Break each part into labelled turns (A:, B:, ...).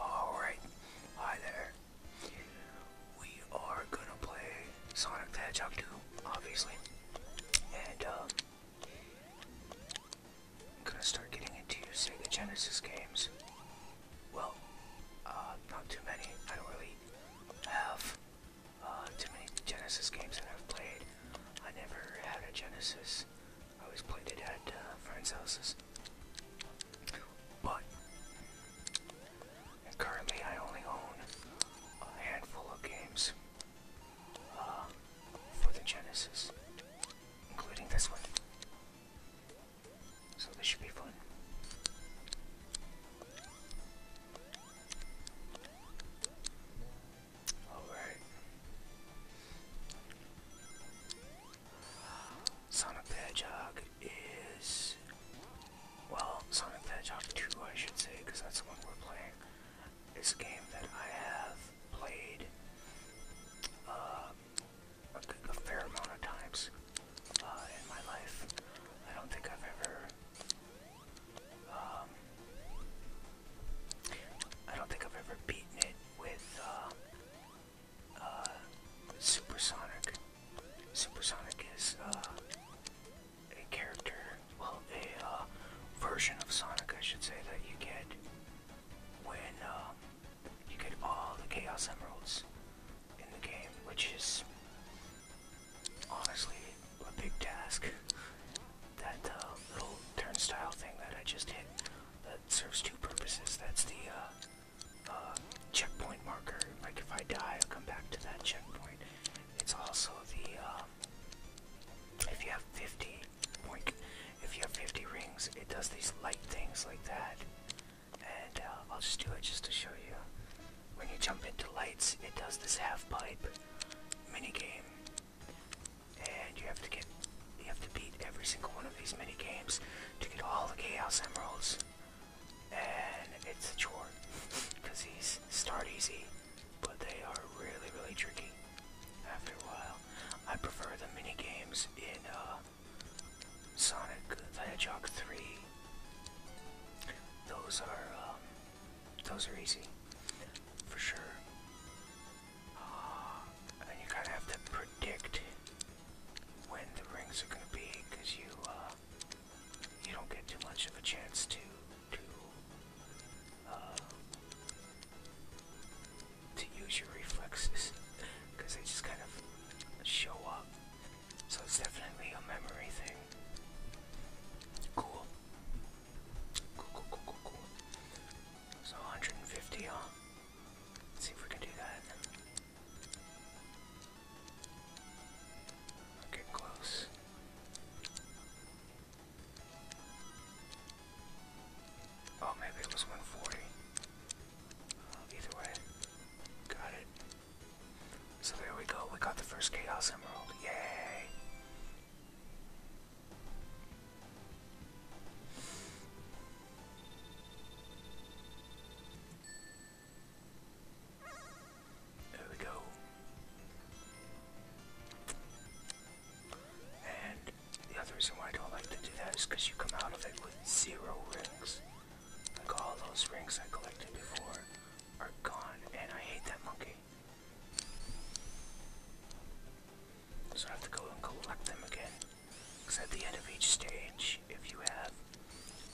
A: Alright, hi there.
B: We are gonna play Sonic the Hedgehog 2, obviously. And, I'm uh, gonna start getting into Sega Genesis games well, uh, not too many. I don't really have uh, too many Genesis games that I've played. I never had a Genesis. I always played it at uh, friends' houses. But currently, I only own a handful of games for the Genesis, including this one. So this should be fun. Alright. Sonic Hedgehog is. Well, Sonic Hedgehog 2, I should say, because that's the one we're playing. It's game that I have played uh, a fair amount of times uh, in my life. I don't think I've ever. Um, I don't think I've ever beaten it with uh, uh, Supersonic. Supersonic is a character, well, a version of Sonic, I should say, that you get when uh, you get all the Chaos Emeralds in the game, which is honestly a big task. That uh, little turnstile thing that I just hit that serves two purposes. That's the uh, uh, checkpoint marker. Like if I die, I'll come back to that checkpoint. It's also the um, if you have 50 if you have 50 rings, it does these light things like that and uh, I'll just do it just to show you. When you jump into lights, it does this half-pipe mini game, and you have to get, you have to beat every single one of these mini games to get all the Chaos Emeralds, and it's a chore because these start easy, but they are really, really tricky. After a while, I prefer the mini games in. Uh, Sonic the Hedgehog 3. Those are um, those are easy for sure. Ah, and you kind of have to predict when the rings are going to be you uh, you don't get too much of a chance to to uh, to use your reflexes because they just kind of show up. So it's definitely a memory thing. Cool. Cool, cool, cool, cool, cool. So 150, huh? see if we can do that. Okay, close. Oh, maybe it was 140 either way, got it. So there we go. We got the first Chaos Emerald. Yay!
A: There we go. And the other reason why I don't like to do that is
B: because you come out of it with zero rings. Like all those rings I collected before are gone, and I hate that monkey. So I have to go and collect them again. Because at the end of each stage, if you have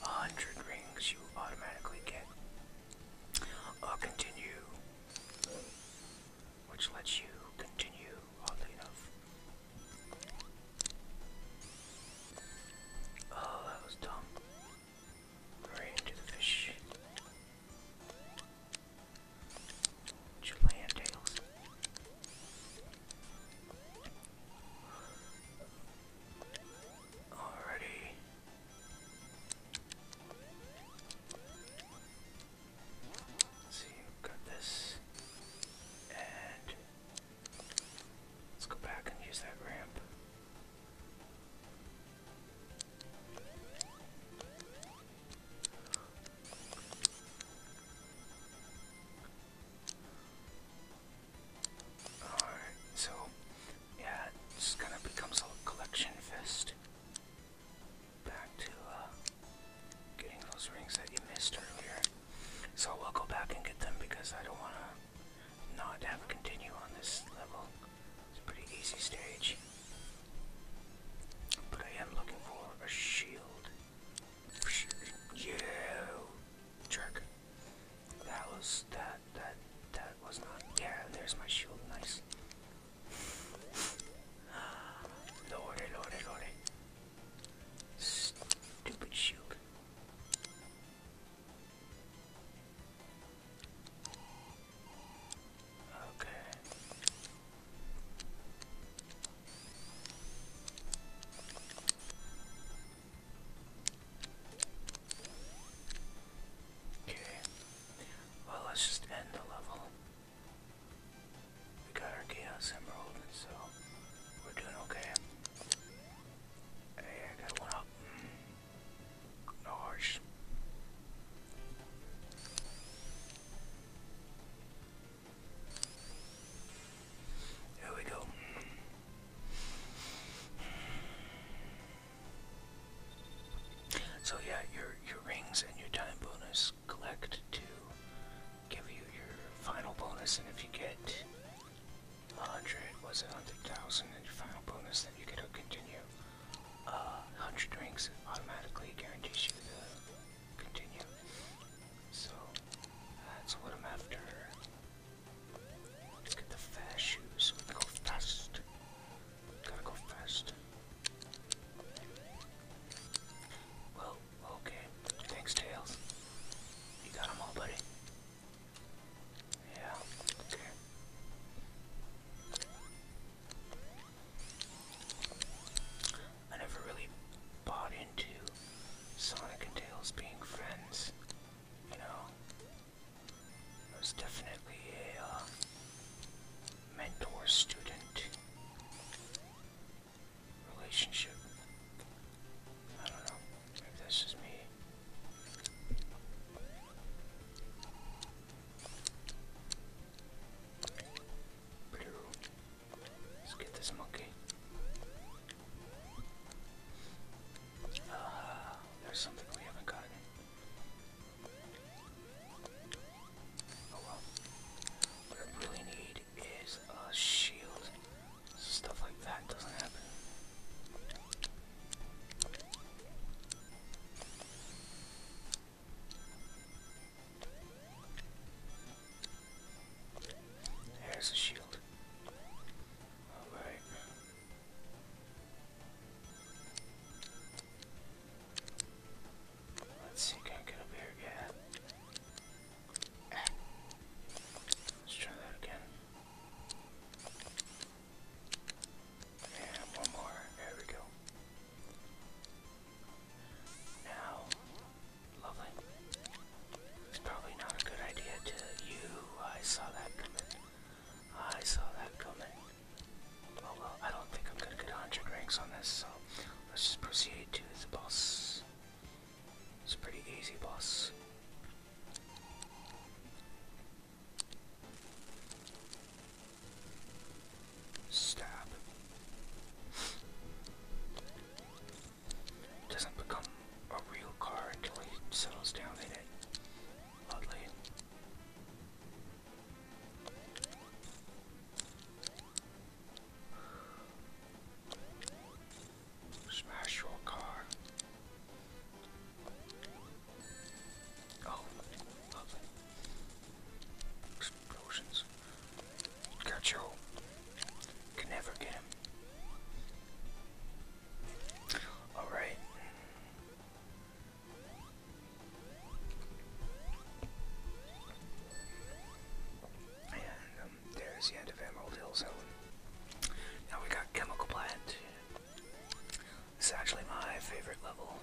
B: a hundred rings, you automatically get a continue, which lets you continue, oddly enough, Oh, that was dumb. Right into the fish. Chilean tails. see, we got this. And Let's go back and use that ramp. Alright, so yeah, it kind of becomes a collection fest. Back to uh, getting those rings that you missed earlier. So we'll go back and get them because I don't want to not have a continue on this level. It's a pretty easy stage. But I am looking for a shield. Yeah, jerk. That was that that that was not. Yeah, there's my shield. Nice. Lordy, lordy, lordy. Stupid shield. Okay. Okay. Well, let's just end the level. We got our Chaos Emerald, so we're doing okay. Hey, I got one up. Mm. No harsh. we go. So yeah, your your rings and your time bonus collect to give you your final bonus, and if you get 100 was 100,000 and your final bonus that you could continue. Uh, 100 drinks automatically guarantees you the continue. So, that's what I'm after. Let's get the fast shoes go fast. Gotta go fast. Well, okay. Thanks, Tails. You got them all, buddy. Yeah, I never really bought
A: into Sonic and Tails being friends, you know? It was definitely a uh,
B: mentor student relationship. Let's get this monkey. Ah, there's something we haven't gotten. Oh well. What I really need is a shield. Stuff like that doesn't happen. There's a shield. Alright. Let's see, can I get up here? Yeah. Let's try that again. And one more. There we go. Now, lovely. It's probably not a good idea to you. I saw that coming. I saw that coming. Oh well, I don't think I'm gonna get 100 ranks on this, so let's just proceed to the boss. It's pretty easy boss. Stab. Doesn't become a real car until he settles down in it. Oddly. Smash your car. Oh, lovely. Explosions. Gacho. Can never get him. Alright. And um, there's the end of Emerald Hills Now we got Chemical Plant. This is actually my favorite level.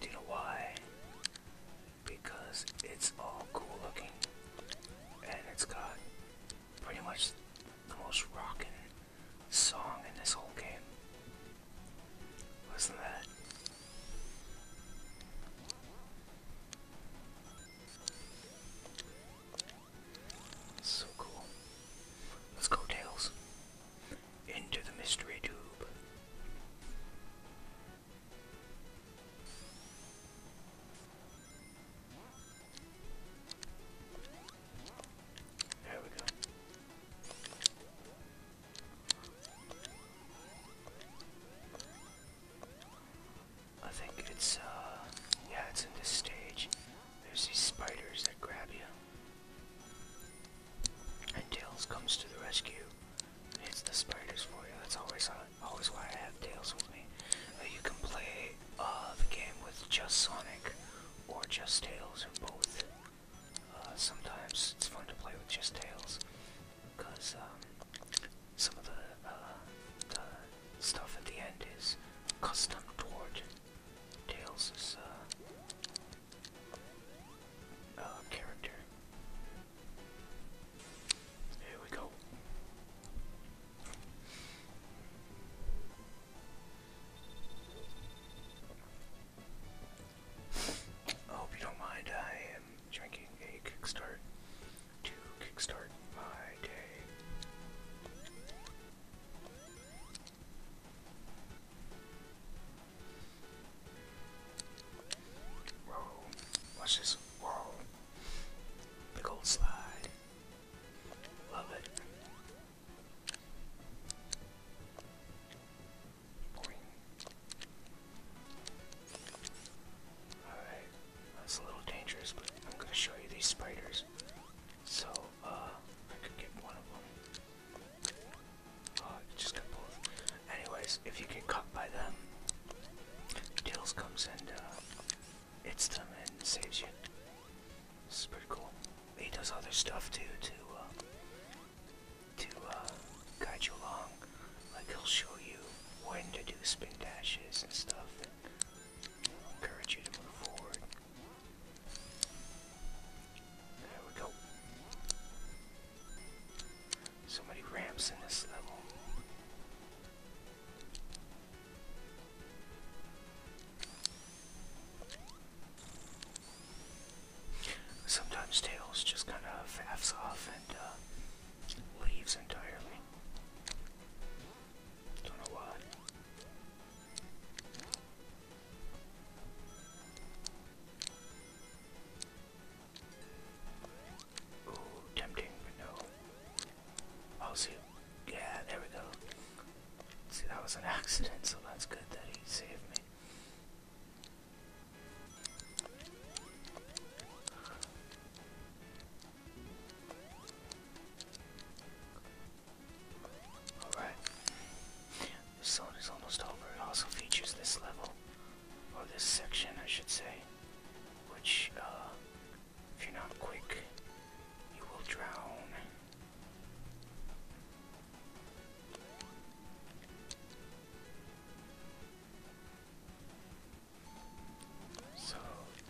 B: Do you know why? Because it's all cool looking. And it's got pretty much the most rockin' song in this whole game. Listen to that. So cool. Let's go, Tails. Into the mystery tube. There we go. I think it's, uh, yeah, it's in this stage. There's these spiders that grab you. And Tails comes to the rescue and the spiders for you. That's always, uh, always why I have Tails with me. Uh, you can play the game with just Sonic or just Tails or both. sometimes it's fun to play with just Tails because um, some of uh, the, stuff at the end is custom to origin. Tails is uh, uh, character. Here we go. I hope you don't mind. I am drinking a kickstart to kickstart my day. Whoa, watch this. Whoa. Big old slide. Love it. Alright, that's a little dangerous, but I'm gonna show you these spiders. So, uh, I could get one of them. Oh, just got both. Anyways, if you get caught by them, Tails comes and, uh, hits them and saves you. This pretty cool. He does other stuff too, to, uh, to, uh, guide you along. Like, he'll show you when to do spin dashes and stuff. Encourage you to move forward. There we go. So ramps in this level. Sometimes Tails just kind of faffs off and uh, leaves entirely. Don't know why. Ooh, tempting, but no. i Yeah, there we go. See, that was an accident, so that's good that he saved me.
A: Alright. The zone is almost over. It also features this level, or this section, I should say, which, uh, if you're not quick,
B: you will drown. So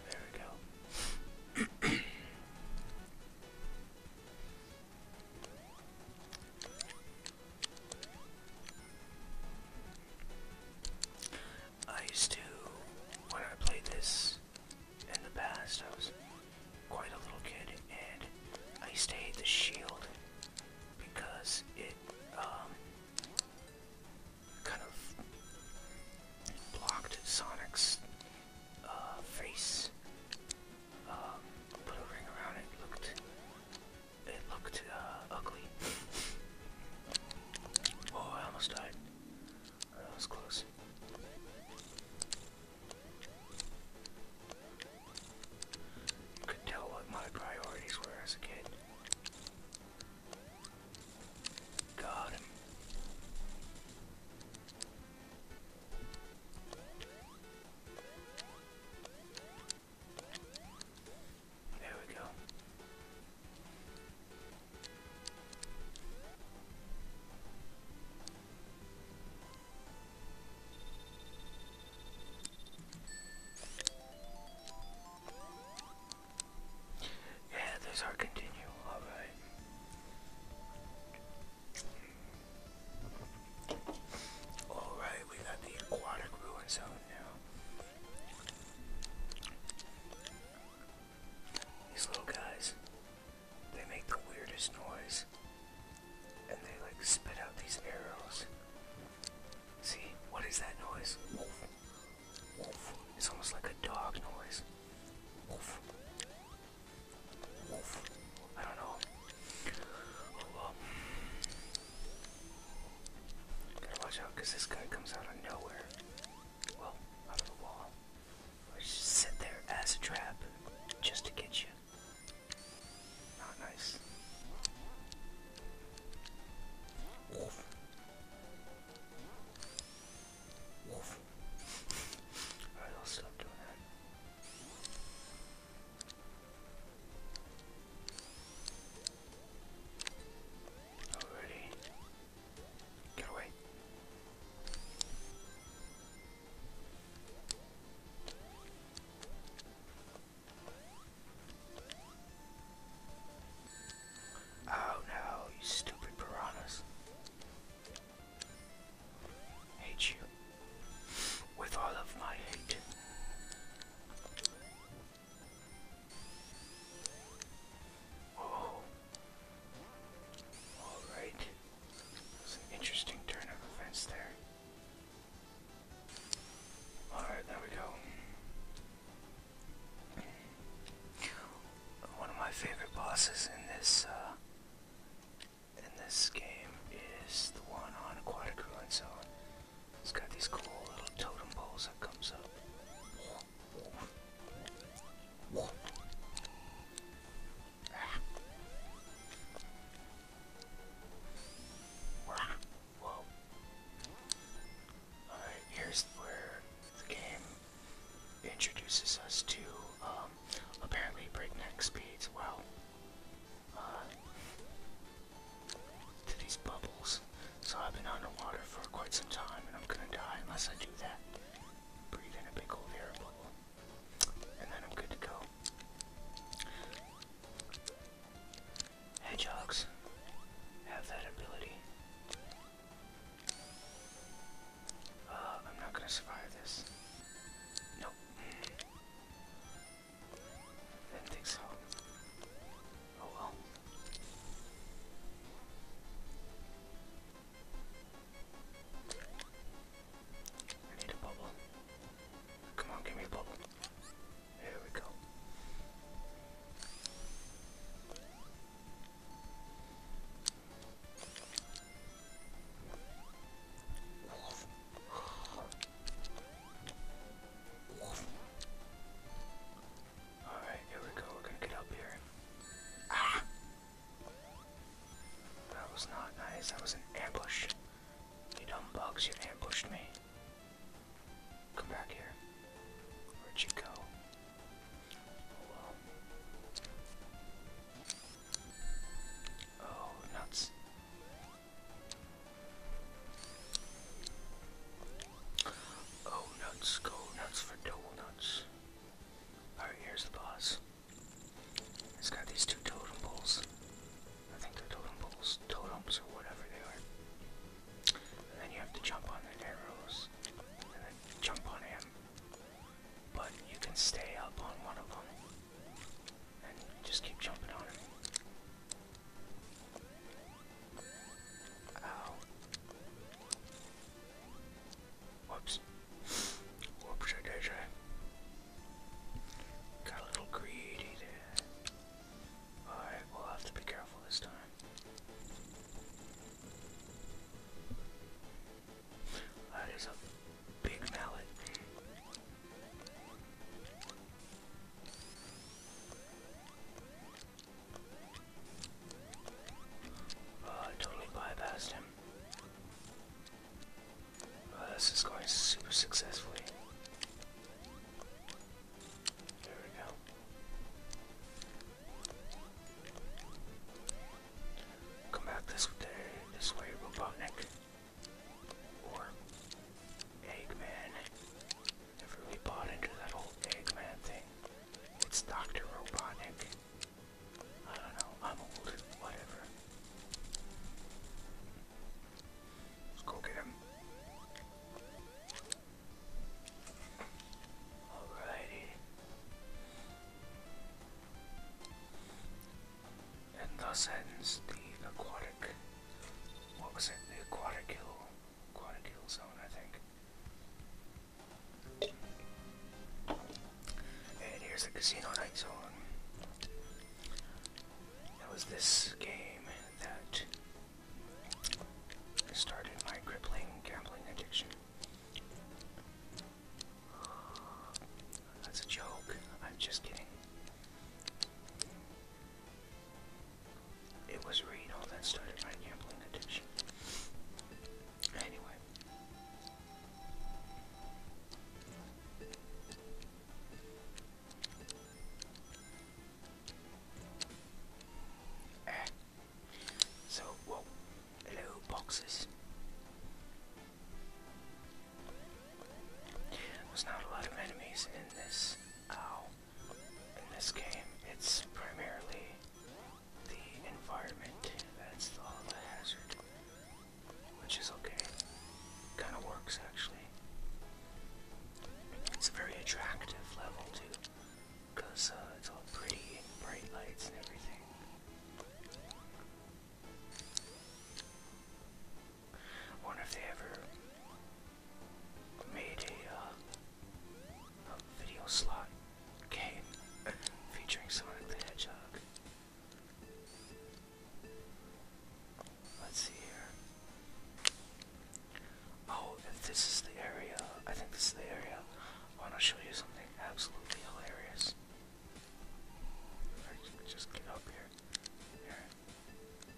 B: there we go. I used to, when I played this in the past, I was quite a little kid, and I used to hate the shield because it, um, kind of blocked Sonic's uh, face. Um, put a ring around it. Looked, it looked uh, ugly. oh, I almost died. That was close. You could tell what my priorities were as a kid. Got him. There we go. Yeah, those are continue. Alright. Alright, we got the aquatic ruin zone now. These little guys, they make the weirdest noise. And they like spit out these arrows. See, what is that noise? It's almost like a dog noise. I don't know. Gotta watch out this guy comes out of nowhere. Well, out of the wall. just sit there as a trap just to get you. Not nice.
A: Wolf. Alright,
B: I'll stop doing that. Alrighty. Get away. Oh no, you stupid piranhas. Hate you. With all of my hate. Oh. Alright. That's interesting turn of events there. Alright, there we go. One of my favorite bosses in this uh, in this game is the one on Aquatic Ruin Zone. It's got these cool little totem poles that comes up here's where the game introduces us to um, apparently breakneck speeds. Wow. Uh, to these bubbles. So I've been underwater for quite some time and I'm gonna die unless I do that. Breathe in a big old air bubble. And then I'm good to go. Hedgehogs have that ability. Uh, I'm not gonna survive this. Nope. didn't think so. Oh well.
A: I need a bubble.
B: Come on, give me a bubble. Here we go. Alright, here we go. We're gonna get up here. Ah! That was not nice. That was an ambush. You dumb bugs, you ambushed me. Come back here. Where'd you go? Oh,
A: nuts. Oh, nuts. Go nuts for double
B: nuts. Alright, here's the boss. It's got these two totem poles. I think they're totem poles, totems, or whatever they are. And then you have to jump on the arrows, and then jump on him, but you can stay up on one of them and just keep jumping on it. Ow. Whoops. Whoops, I did. Got a little greedy there. Alright, we'll have to be careful this time. That is a big mallet. Oh, I totally bypassed him. Oh, this is going super successfully. There we go. Come back this day, this way, Robotnik. Or Eggman. Never really bought into that whole Eggman thing. It's Dr. Robotnik. I don't know, I'm old, whatever. Let's go get him. Alrighty. And thus ends the aquatic. What was it? The aquatic hill. Aquatic hill zone, I think. And here's the casino night zone. That was this game that started my crippling gambling addiction. That's a joke. I'm just kidding. It was Reno that started my gambling addiction. Anyway. Eh. So, well, low boxes. There's not a lot of enemies in this ow uh, in this game. It's primarily the environment that's the, the hazard. Which is okay. Kinda works actually. It's a very attractive level too because uh, it's all pretty bright lights and everything. wonder if they ever made a, uh, video slot game featuring Sonic the Hedgehog. Let's see here. Oh, this is the area, I think this is the area. want to show you something absolutely hilarious. just get up here.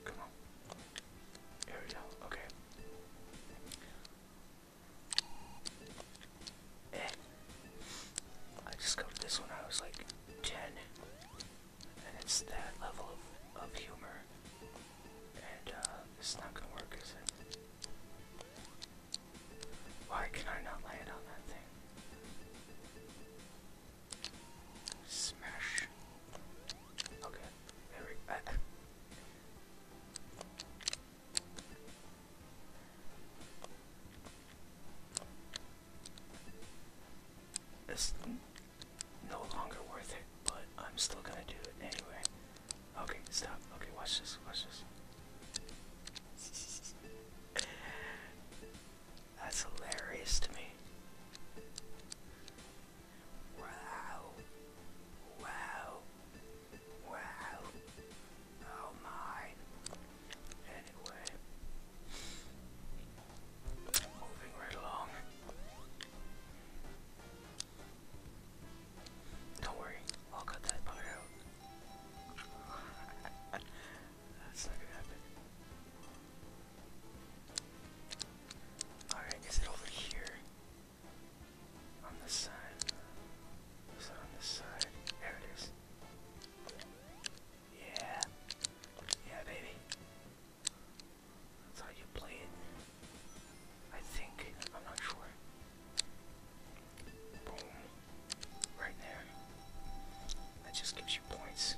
B: Come on. Here we go. Okay. And eh. I discovered this when I was like 10. And it's that level of, humor. And uh, it's not gonna work, is it? Why can I not lay it on that thing? Smash. Okay, there we go. It's no longer worth it, but I'm still gonna do it anyway. Okay, stop. Okay, watch this. Watch this. That's hilarious to me. Wow. Wow. Wow. Oh my. Anyway. Moving right along. Don't worry, I'll cut that part out. That's not going Alright, is it over here? On this side? Is it on this side? There it is. Yeah. Yeah, baby. That's how you play it. I think. I'm not sure. Boom. Right there. That just gives you points.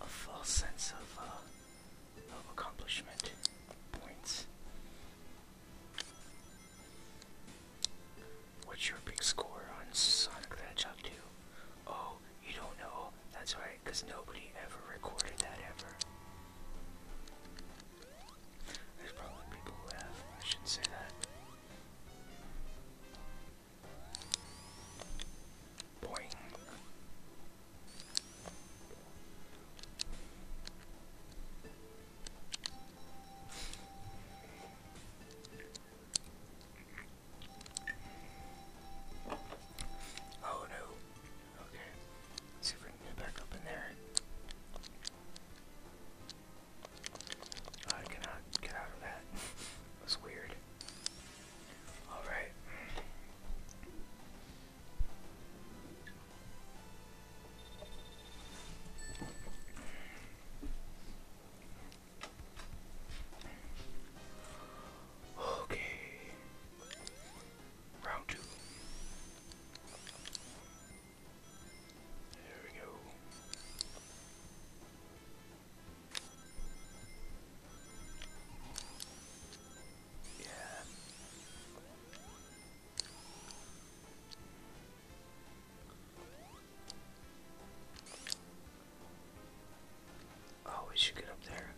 B: A false sense of, uh, of accomplishment. Points. What's your big score on Sonic the Hedgehog 2? Oh, you don't know? That's right, because nobody ever recorded that ever. There's probably people who have. I shouldn't say that. Boing. Oh no. Okay. see if we can get back up in there. I cannot get out of that. it was weird. Alright. Okay. Round two. Oh, we should get up there.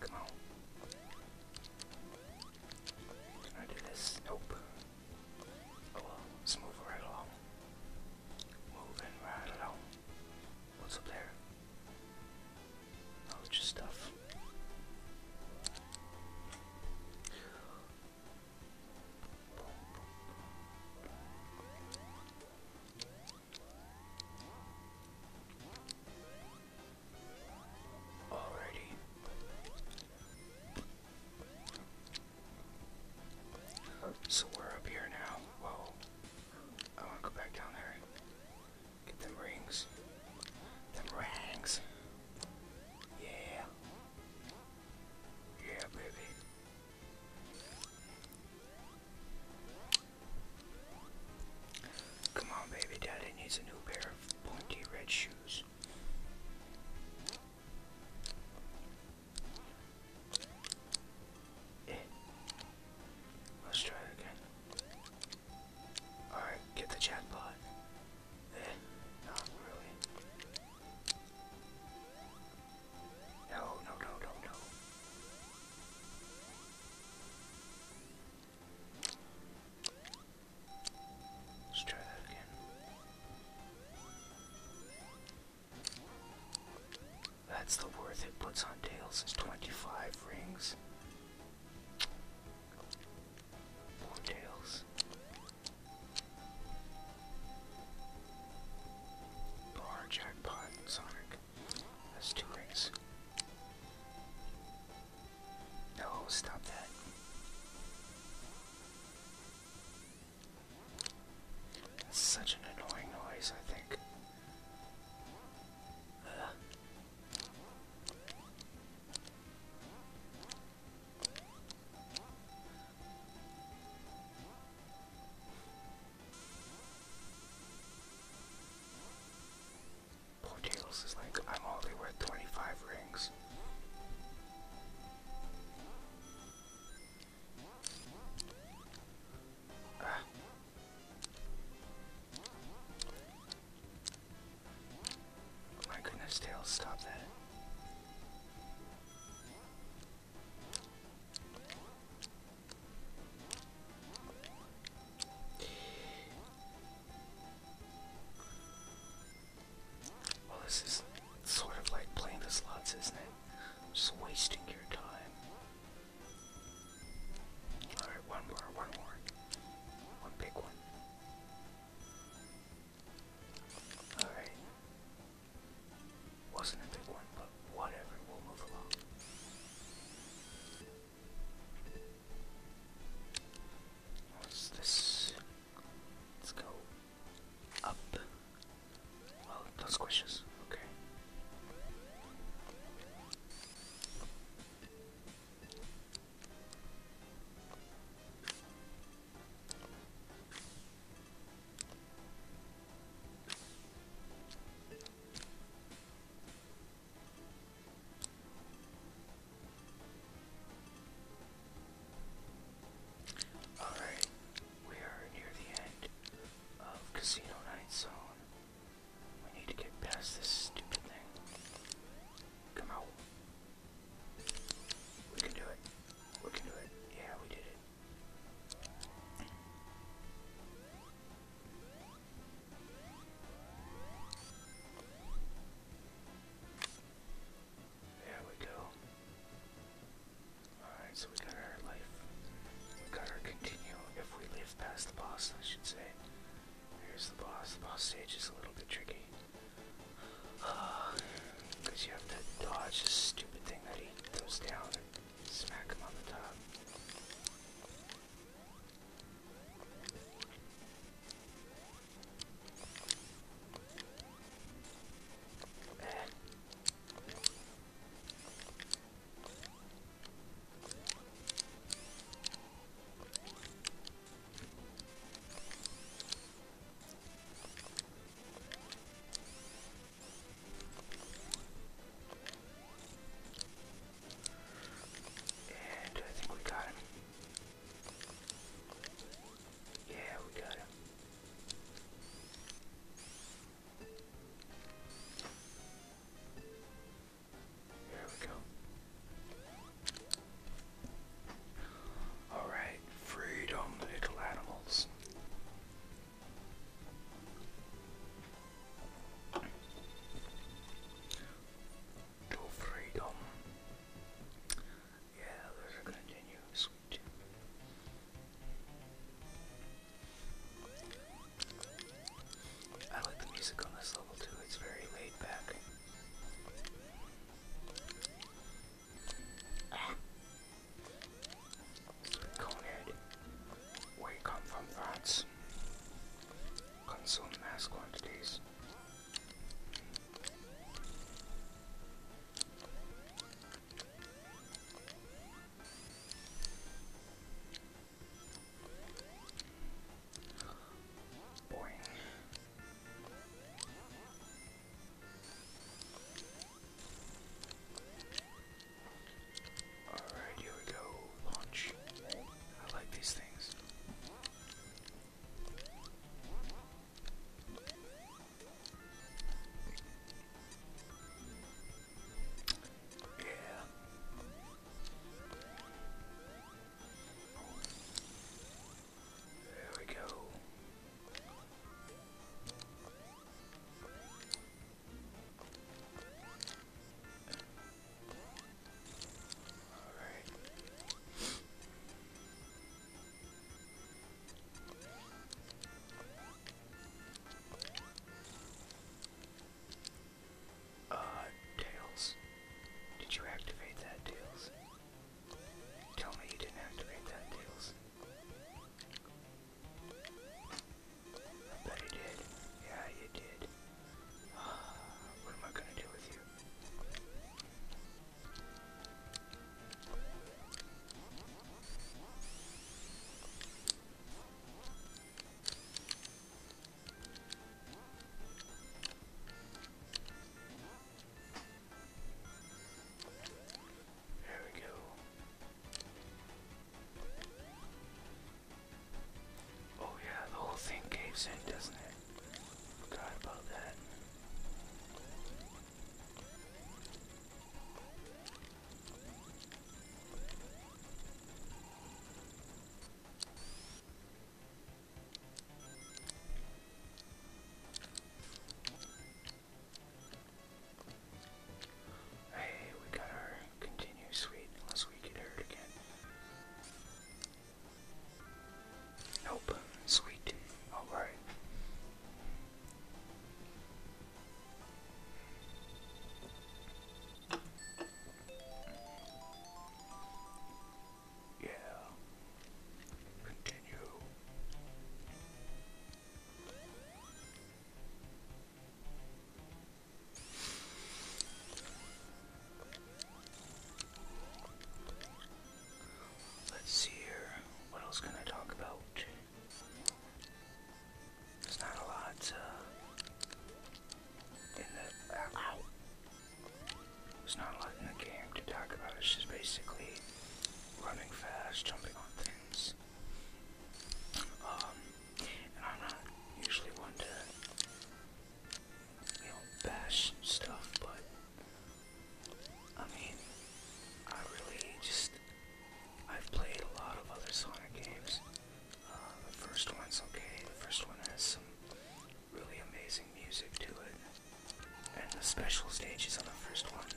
B: Come on. Can I do this? Nope. Oh let's move right along. Moving right along. What's up there? Oh, just stuff. Alrighty. So we're up here now. Well, I want to go back down there. Get them rings. Them rings. Yeah. Yeah, baby. Come on, baby. Daddy needs a new pair of pointy red shoes. Let's try it again. Alright, get the chatbot. No, no, no, no, no. Let's try that again. That's the worth it puts on tails is 25 rings. More tails. Bar jackpot, Sonic. That's two rings. No, stop that. such an annoying noise, I think. Poor Tails is like, I'm only worth 25 rings. Ah. My goodness, Tails, stop that.
A: Well, this is sort of like playing the slots, isn't it? Just wasting your time. Alright, one more, one more.
B: One big one. Alright. Wasn't a big one, but whatever, we'll this? Let's go up. Well, not squishes. Okay. Alright, we are near the end of Casino Night Zone. We need to get past this stupid thing. Come out. We can do it. We can do it. Yeah, we did it. There we go. Alright, so we got our life. We got our continue if we live past the boss, I should say. Here's the boss. The boss stage is a little bit tricky. Because you have to dodge this stupid thing that he throws down and smack him on the top. And I think we got him. Yeah, we got him. There we go. Alright, freedom, little animals. To freedom. Yeah, those are continue. Sweet. I like the music on this level too, it's very laid back. Conehead. Where you come from, rats? Consume mass quantities. Boing. Alright, here we go. Launch. I like these things.
A: Yeah. There we go. All
B: right. Uh, Tails. Did you activate that, Tails? Tell me you didn't activate that, Tails. I bet he did. Yeah, you did. what am I gonna do with you? There we go. Oh yeah, the whole thing caves in, doesn't it? Forgot about that. Hey, we got our continue suite unless we get hurt again. Nope. Sweet. Alright. Yeah. Continue. Let's see here. What else can I talk about? There's not a lot uh, in
A: the. Uh, not a lot in the game to talk about. It's basically
B: running fast, jumping on things. Um, I'm not usually one to, bash stuff, but I mean, I really just, I've played a lot of other Sonic games. Uh, the first one's okay, the first one has some really amazing music to it. And the special stages on the first one,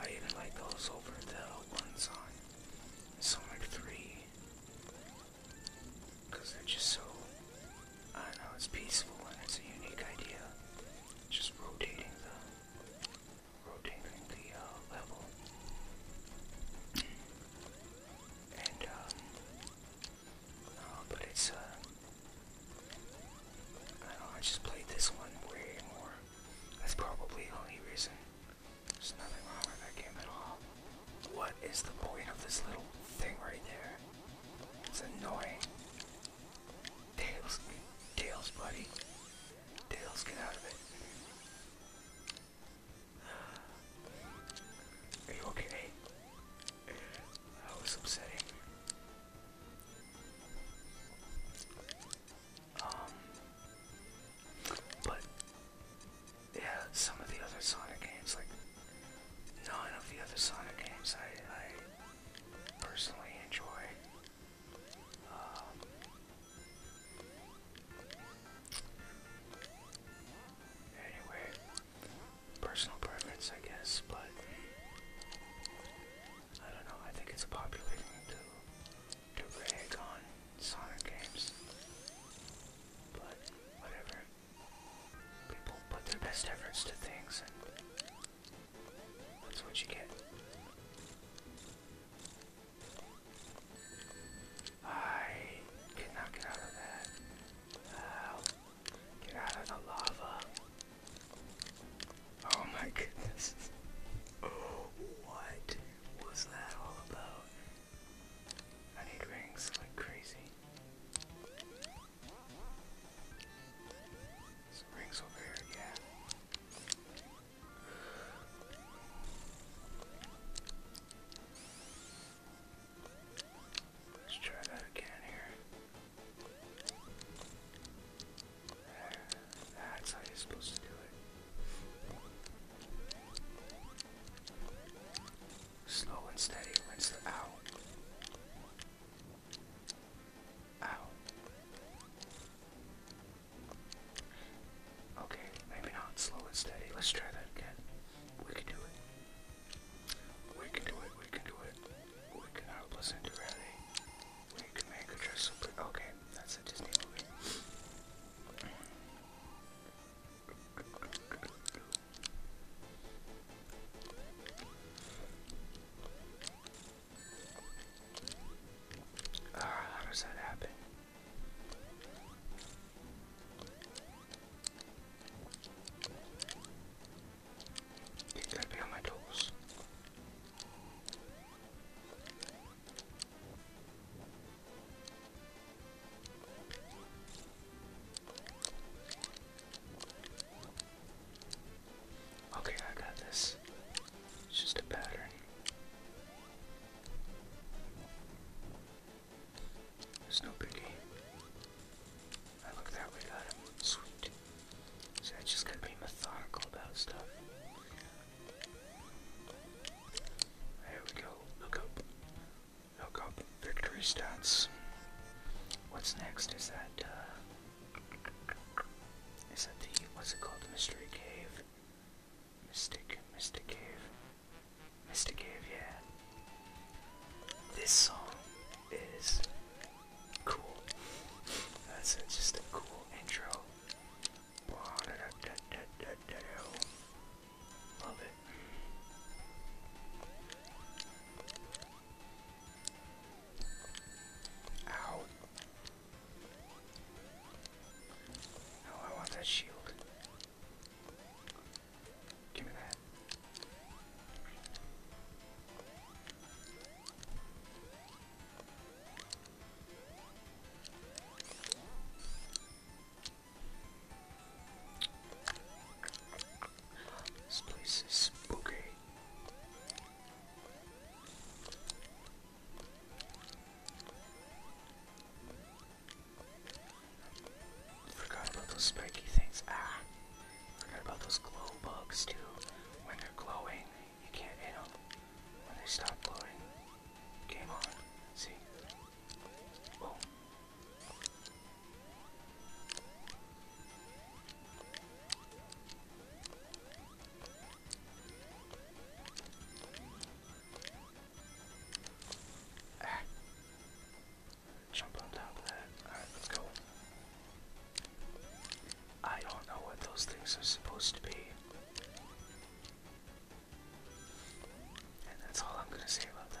B: I even like those over the ones on Sonic 3. Because they're just so I know, it's peaceful and it's a unique idea. Just rotating the rotating the uh, level. And um, oh, but it's uh I don't know, I just played this one way more. That's probably the only reason. There's nothing wrong with that game at all. What is the point of this little thing right there? It's annoying. Tails, Tails, buddy. Tails, get out of it. Are you okay? That was upsetting. Um, but yeah, some of the other Sonic games, like none of the other Sonic games, I, I personally enjoy. Um, anyway, personal preference, I guess, but I don't know. I think it's a popular thing to to rag on Sonic games, but whatever. People put their best efforts to things, that's what you get. I cannot get out of that. Uh, get out of the lava. Oh my goodness. Oh, what was that all about? I need rings like crazy. Let's try that again here. That's how you're supposed to do it. Slow and steady wins the out. Ow. Okay, maybe not slow and steady. Let's try that again. We can do it. We can do it. We can do it. We can help us into Ready. We can make a dress super. Okay, that's a Disney movie. Ah, uh, how does that happen? You gotta be on my toes. Okay, I got this. It's just a pattern. There's no biggie. I look that way, got him. Sweet. So I just gotta be methodical about stuff. There we go. Look up. Look up. Victory stats. What's next? Is that, uh... Is that the what's it called? Mystery Cave? Mystic Mystic Cave. Mystic Cave, yeah. This song is cool. That's just a cool intro.
A: Love it.
B: Ow. Oh, I want that shield. Give me that. This place is spooky. Forgot about those spiky things. Ah! Forgot about those glow bugs too. When they're glowing, you can't hit them. When they stop glowing, game on. See? Boom. Ah. Jump on let's go. I don't know what those things are supposed to be. And that's all I'm gonna say about that.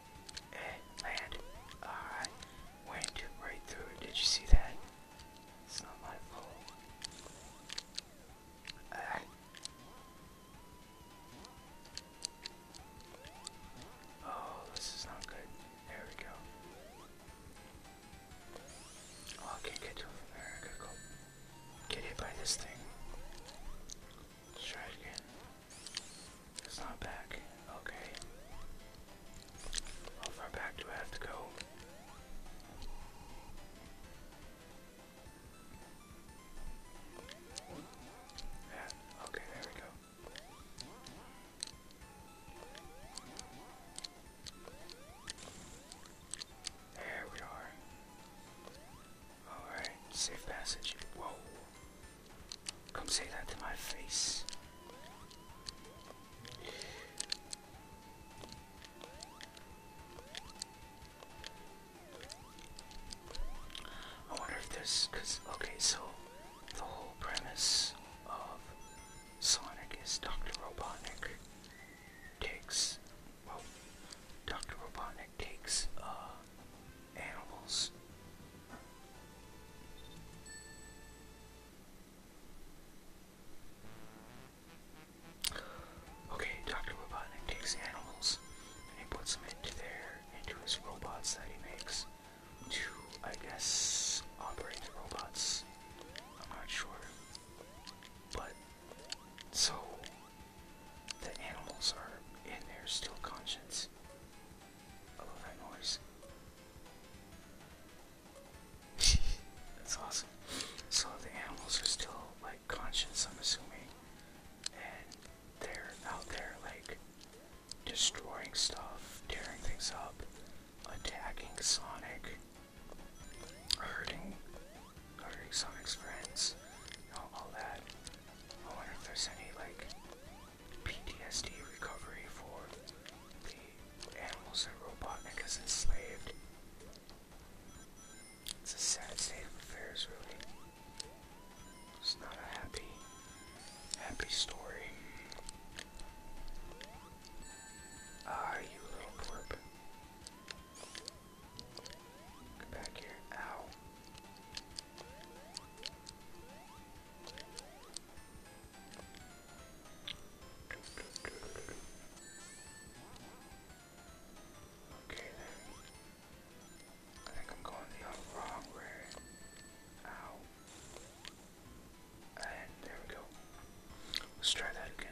B: It landed. Alright. Went right through Did you see that? It's not my fault. Uh. Oh, this is not good. There we go. Oh, get to it get hit by this thing. try again. It's not back. Okay. How far back do I have to go? Yeah. Okay, there we go. There we are. Alright, safe passage. Whoa. Come say that to my face. I wonder if there's, cause, okay, so the whole premise of Sonic
A: is Dr. Robotnik takes, well, Dr. Robotnik
B: takes, uh, animals. Okay, Dr. Robotnik takes animals and he puts them into their into his robots that he makes to, I guess, operate the robots. I'm not sure. But so the animals are in their still conscience. I love that noise. That's awesome. So the animals are still like conscious, I'm assuming, and they're out there like destroying stuff, tearing things up, attacking Sonic, hurting, hurting Sonic's friends, all, all that. I wonder if there's any like PTSD recovery for the animals that Robotnik has enslaved. It's a sad state of affairs, really. It's not a happy, happy story. Ah, you little blurb. Get back here. Ow. Okay I think I'm going the wrong way. Ow. And there we go. Let's try that again.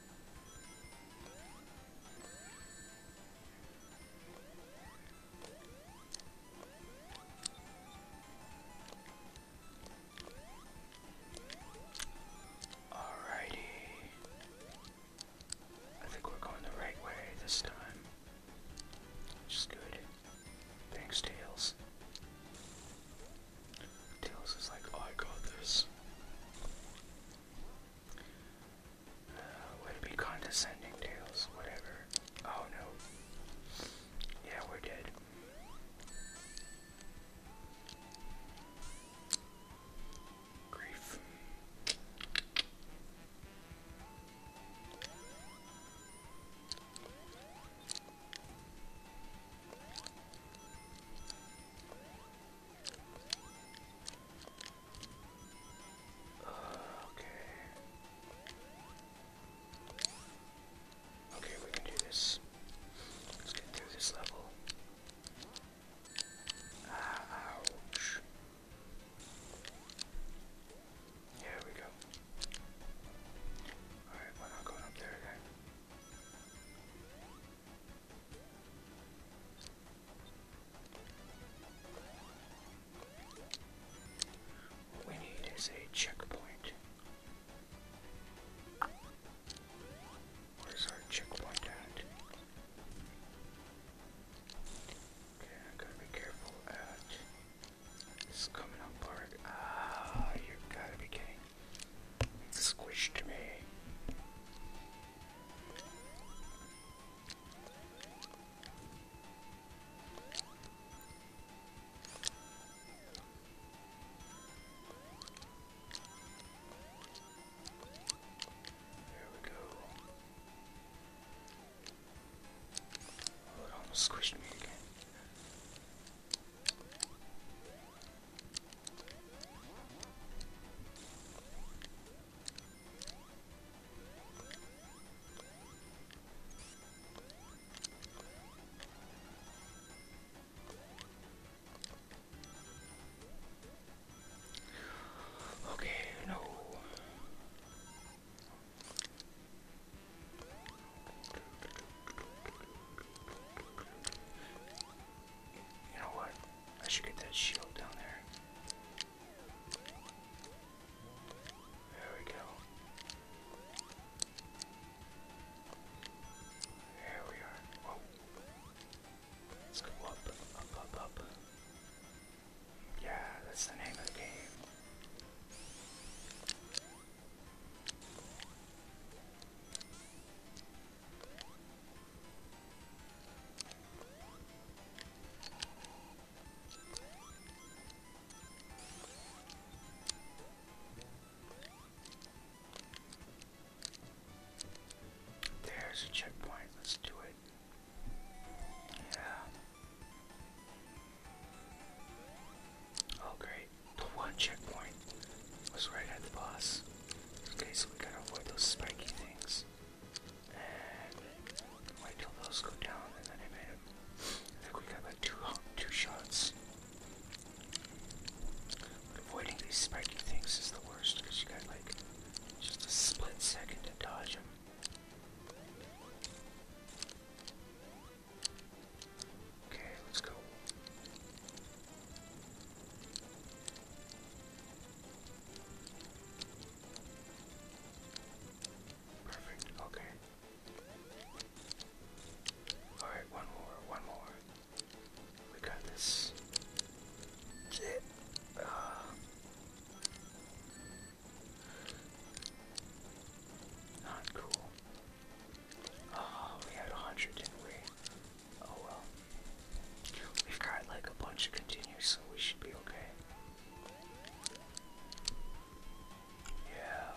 B: Alrighty. I think we're going the right way this time. Which is good. Thanks, Tails. Tails is like, oh, I got this uh, would be condescending tales, whatever. Oh no. Yeah, we're dead. Grief okay. Okay, we can do this. Let's get through this level. Ah, ouch. Here we go. Alright, we not going up there again. What we need is a checkpoint. Where's our checkpoint at? Okay, I gotta be careful at coming up part. Ah, you gotta be kidding. squished me we go. Oh, it almost squished me again. Okay, no. You know what? I should get that shield down there. There we go. There we are. Let's go up, up, up, up. Yeah, that's the name of the game. There's a checkpoint, let's do it. Yeah. Oh great. The one checkpoint was right at the boss. Okay, so we gotta avoid those spiky things. Uh, wait till those go down, and then I made it. I think we got like two, two shots. avoiding these spiky things is the worst, because you got like just a split second to dodge them. Okay, let's go. Perfect, okay. Alright, one more, one more. We got this. Uh, not cool. Oh, we had a hundred, didn't we? Oh well. We've got like a bunch of continues, so we should be okay. Yeah.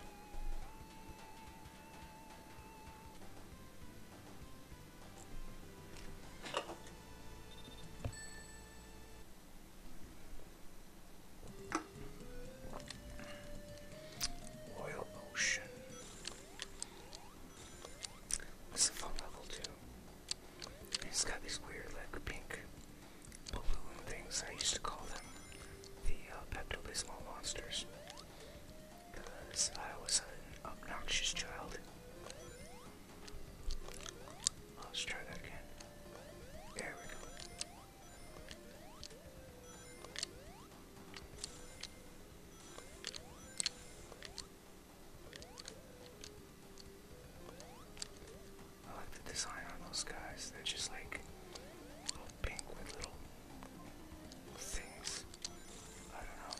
B: Oil ocean. What's the fun level two? He's got these weird like pink balloon things. I used to call them the uh, Pepto-Bismol monsters because I was an obnoxious child. Let's try that again. There we go. I like the design on those guys. They're just like pink with little things. I don't know.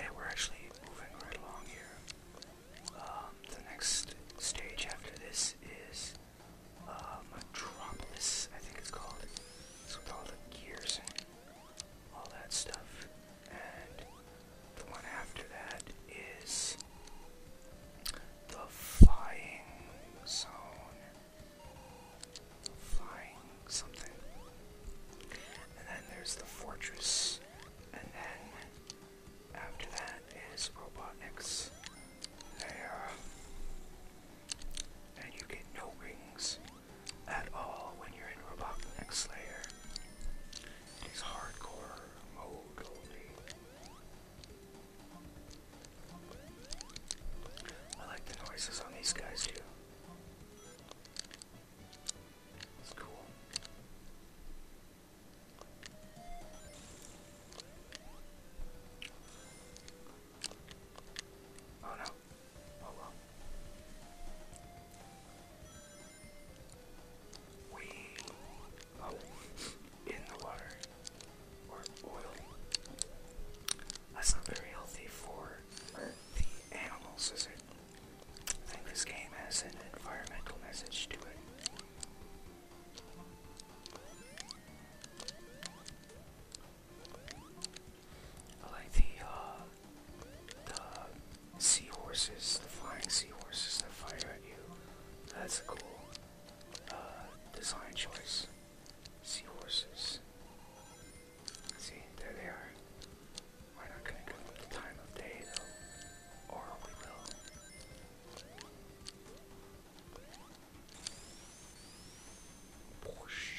B: Hey, we're actually moving right along here. Um, the next stage after this is um, Metropolis, I think it's called. It's with all the gears and all that stuff and the
A: one after that is the flying zone. Flying something.
B: And then there's the fortress. And then after that is Robotnik's lair. And you get no rings at all when you're in Robotnik Slayer. He's hardcore mode only. I like the noises on these guys too. It's cool.
A: Oh no, we in the water or oil. That's not very healthy for the animals, is it? I think this game has an environmental message to it. I like the uh, the seahorses, the flying seahorses that fire at you. That's a cool uh, design choice. Seahorses. See, there they are. We're not gonna give them the time of day though, or we
B: will. Whoosh.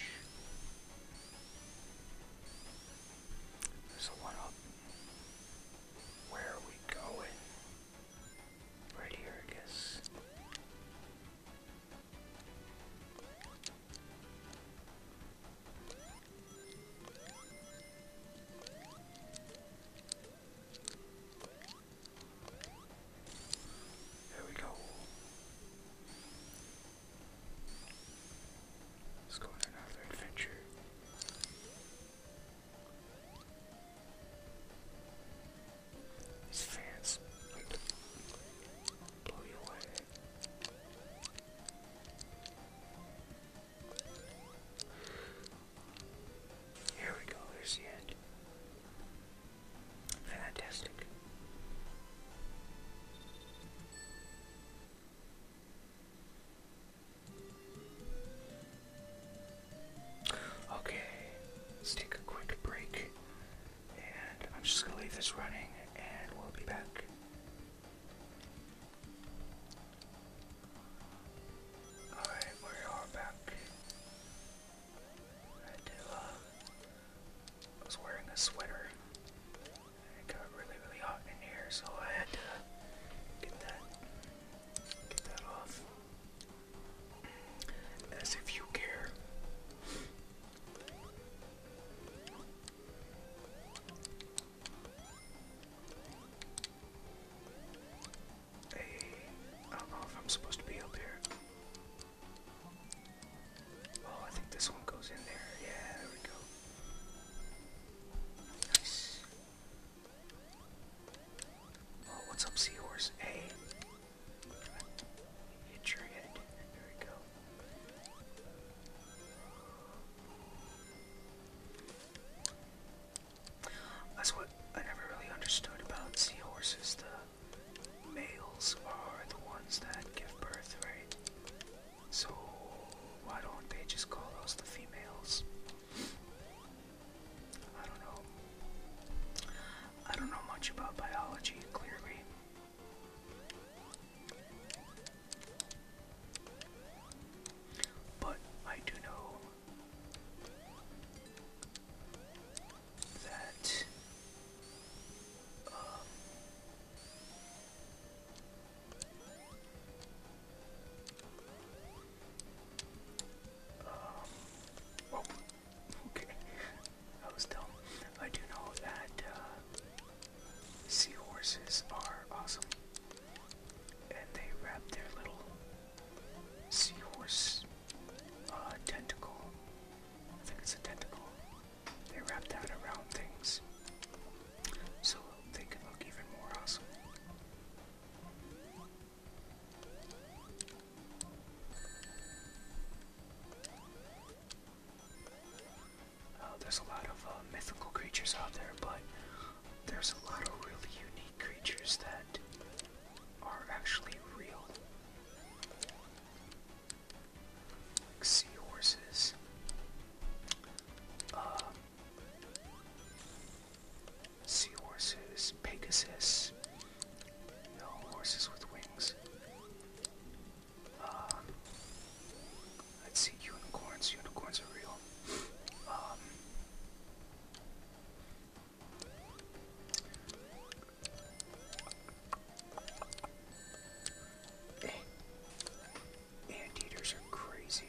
B: There's a Where are we going? Right here, I guess. There we go. Let's go on another adventure. These fans blow you away. Here we go, here's the end. Fantastic. Okay, let's take a quick break. And I'm just gonna leave this running and we'll be back. Alright, we are back. I do, uh, I was wearing a sweater. It got really, really hot in here, so I had to get that get that off. As if you care. Hey, I don't know if I'm supposed to be up here. Oh, I think this one goes in there. Yeah, there we go. Oh, what's up, seahorse? Hey. Hit your head. There we go. That's what I never really understood about seahorses. The males are the ones that give birth, right? So why don't they just call us the females? I don't know. I don't know much about biology, clearly. But I do know that um, Oh, okay. I was dumb. I do know that uh, seahorses are awesome. And they wrap their little seahorse uh, tentacle. I think it's a tentacle. They wrap that around things so they could look even more awesome. Uh, there's a lot of uh, mythical creatures out there, but there's a lot of really unique creatures that are actually real. Like seahorses, um, Seahorses, Pegasus, no horses with wings. Um, see, unicorns. Unicorns are real. Um, eh. Anteaters are crazy.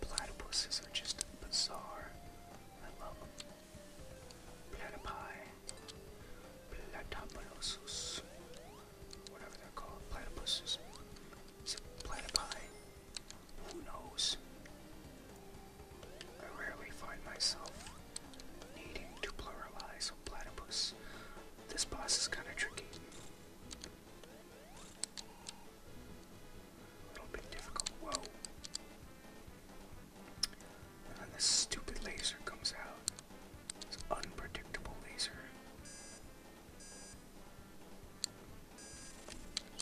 B: Platypuses are just bizarre. I love them. Platypi. Platypolosus. Whatever they're called. Platypuses. Is Who knows? I rarely find myself needing to pluralize a platypus. This boss is kind of tricky. A little bit difficult. Whoa. And then this stupid laser comes out. This unpredictable laser.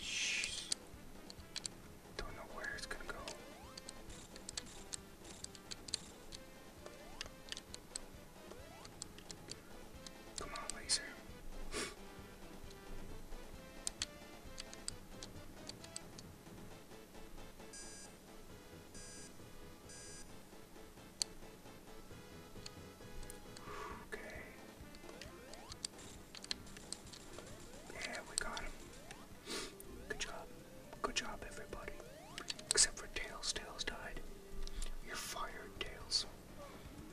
B: Shh. Don't know where it's gonna go. Come on,
A: laser. okay. Yeah, we got him.
B: Good job. Good job, everybody. Except for Tails. Tails died. You're fired, Tails.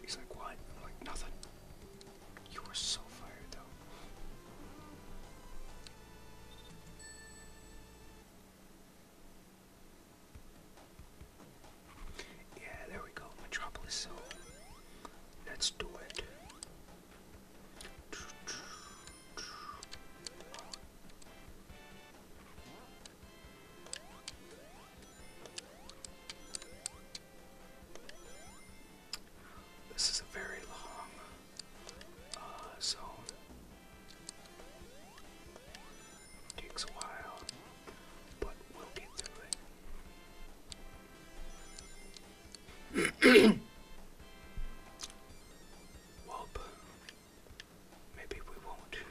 B: He's like, what? I'm like, nothing. You were so fired, though. Yeah, there we go. Metropolis Let's do it.
A: This is a very long song. Uh, Takes a while, but we'll get through it. Well, maybe we won't.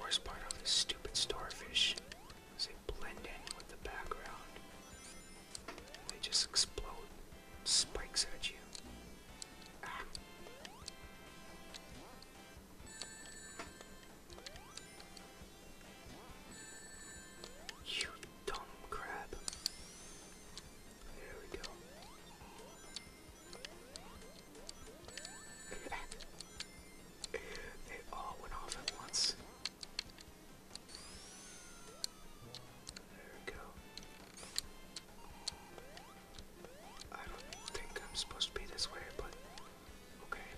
B: Worst part of this stupid starfish is they blend in with the background. They just explode spikes at you. Ah. You dumb crab. There we go. they all went off at once. There we go. I don't think I'm supposed to be this way, but Okay.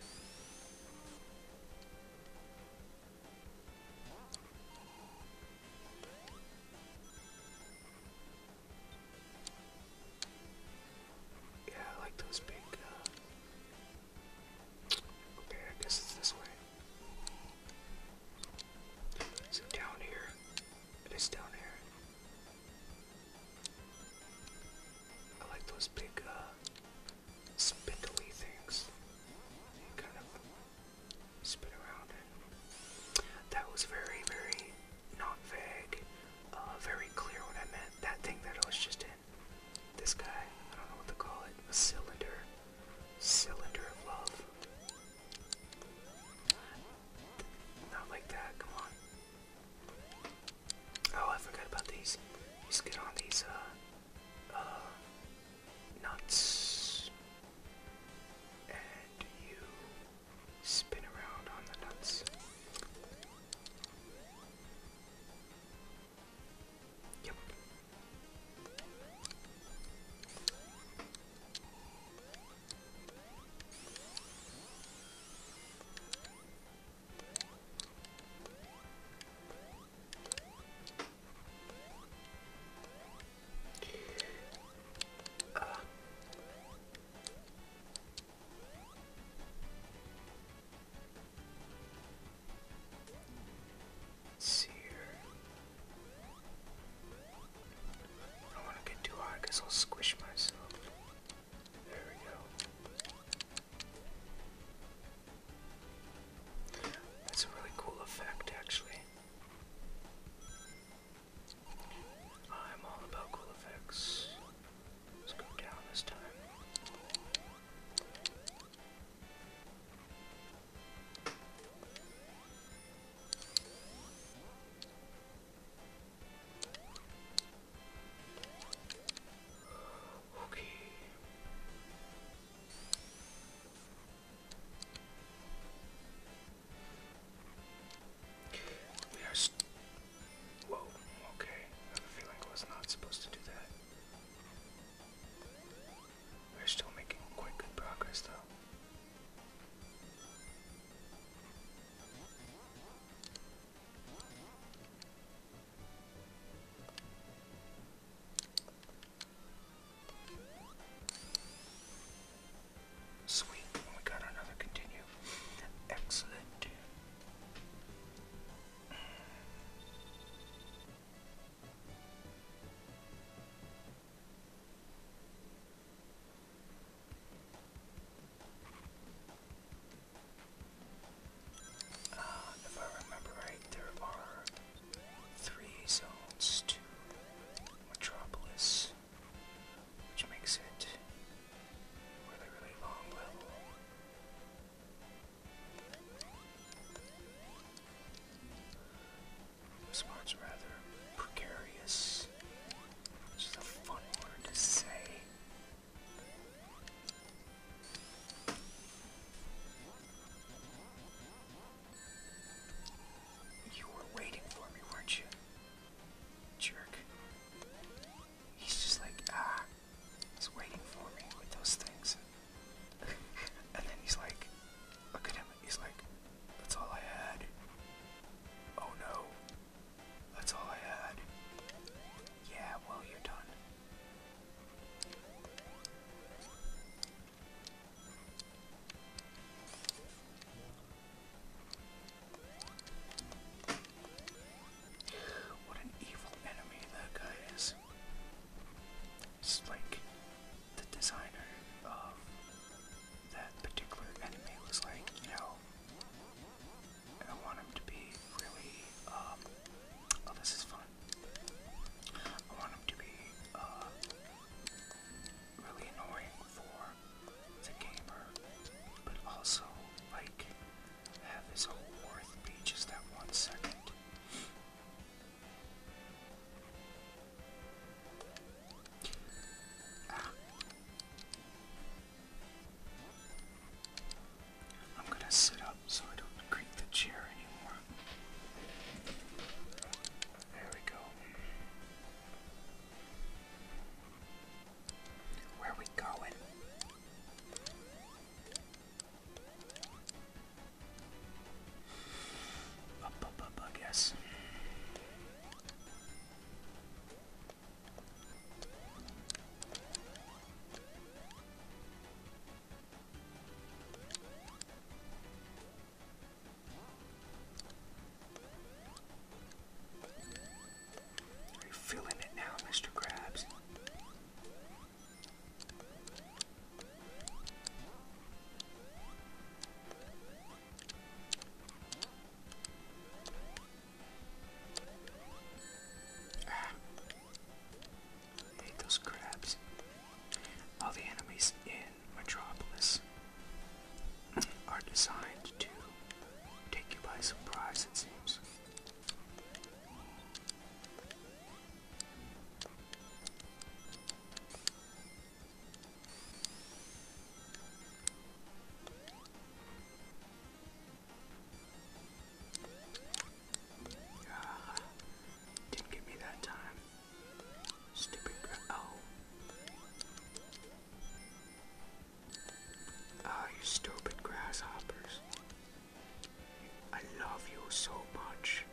B: Yeah, I like those big, uh, Okay, I guess it's this way. Is down here? It is down here. I like those big, uh, spindly things. kind of spin around That was very, very not vague, uh, very clear what I meant. That thing that I was just in. This guy, I don't know what to call it, a cylinder. Cylinder of love. Not like that, come on. Oh, I forgot about these. let get on these, uh, uh, nuts. And you spin around on the nuts. Yep. Uh. See here. I don't want to get too hard because I'll squish myself. That's a really cool effect, actually. I'm all about cool effects. Let's go down this time. Okay. We are. St Okay. I have a feeling I was not supposed to do that. We're still making quite good progress, though. Sweet, we oh got another continue. Excellent if I remember right, there are three zones to Metropolis, which makes it really, really long level. This part's rather precarious, which a fun word to say. You were waiting for me, weren't you? Jerk. He's just like, ah, he's waiting for me with those things. and then he's like, look at him, he's like, that's all I had. Oh no, that's all I had. Yeah, well, you're done. What an evil enemy that guy is. It's like the designer of that particular enemy was like, you know, I want him to be really, um, oh, this is fun. I want him to be, uh, really annoying for the gamer, but also, like, have his whole worth be just that one second. Ah. I'm gonna sit up so I don't creak the chair anymore. There we go. Where are we going? Up, up, up, I guess. You're feeling it now, Mr. Krabs. Ah, I those crabs. All the enemies in Metropolis are designed to take you by surprise, it seems.
A: Ah, didn't give me that time. Stupid girl. Oh.
B: Ah, you stupid grasshoppers. I love you so much.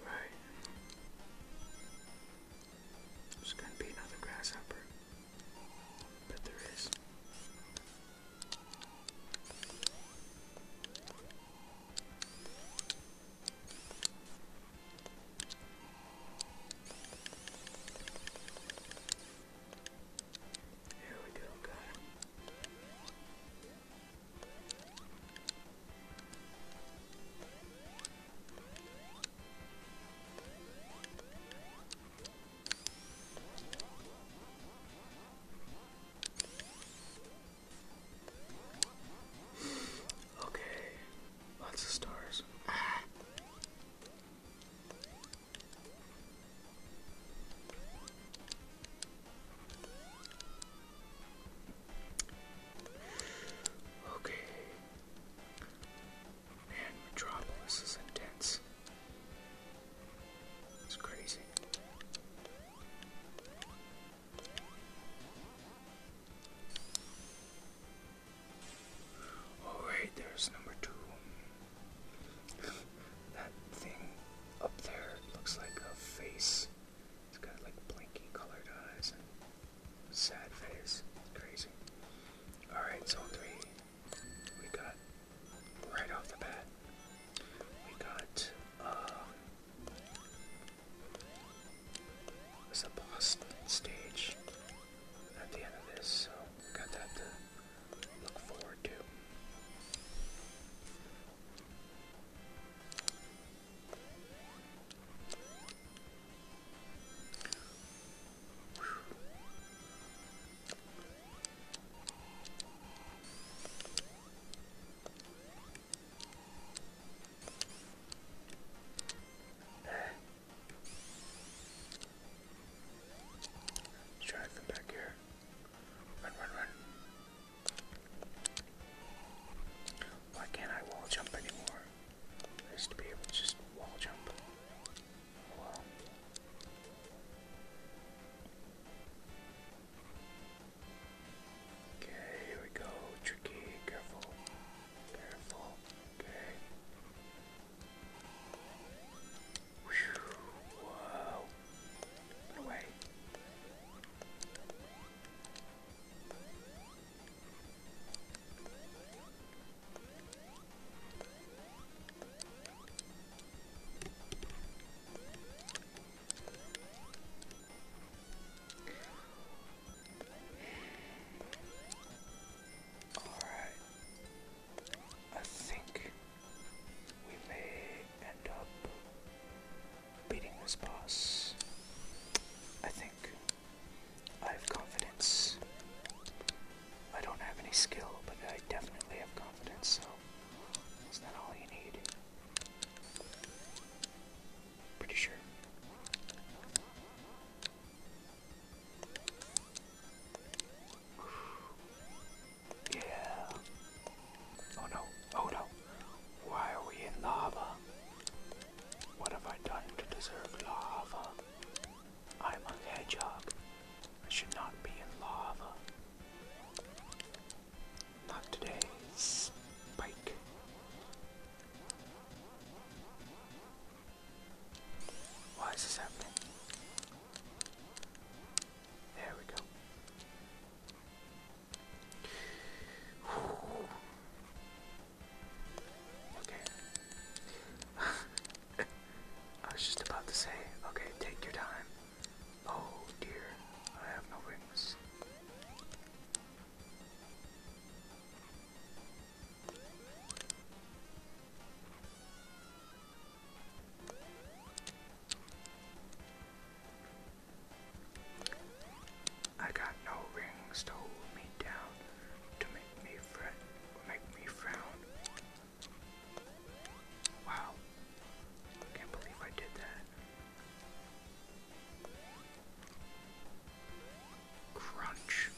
B: Alright. There's gonna be another grasshopper. But there is. Here we go, got him. Okay, lots of stars. Okay. Man, Metropolis is intense. It's crazy. Oh there's number two. that thing up there looks like a face. It's got like blanky colored eyes and sad face. crazy. Alright, zone three. We got right off the bat. We got um, it's a boss stage at the end of this, so got that to look forward to. Let's try from back here. Run, run, run. Why can't I wall jump anymore? I used to be able to just wall jump. Oh well. Okay, here we go. Tricky, careful. Careful. Okay. Whew. Whoa. Get away.
A: Alright. I think
B: we may end up beating this boss. I think. I have confidence. I don't have any skill, but I definitely have confidence, so that's not all you need. Pretty sure. Yeah. Oh no. Oh no. Why are we in lava? What have I done to deserve lava? I'm a hedgehog. I should not be in lava. Not today, Spike. Why is this happening? There we go. Okay. I was just about to say, okay, take your time. Oh dear, I have no wings. I got no rings to hold me down, to make me fret, make me frown. Wow, can't believe I did that. Crunch.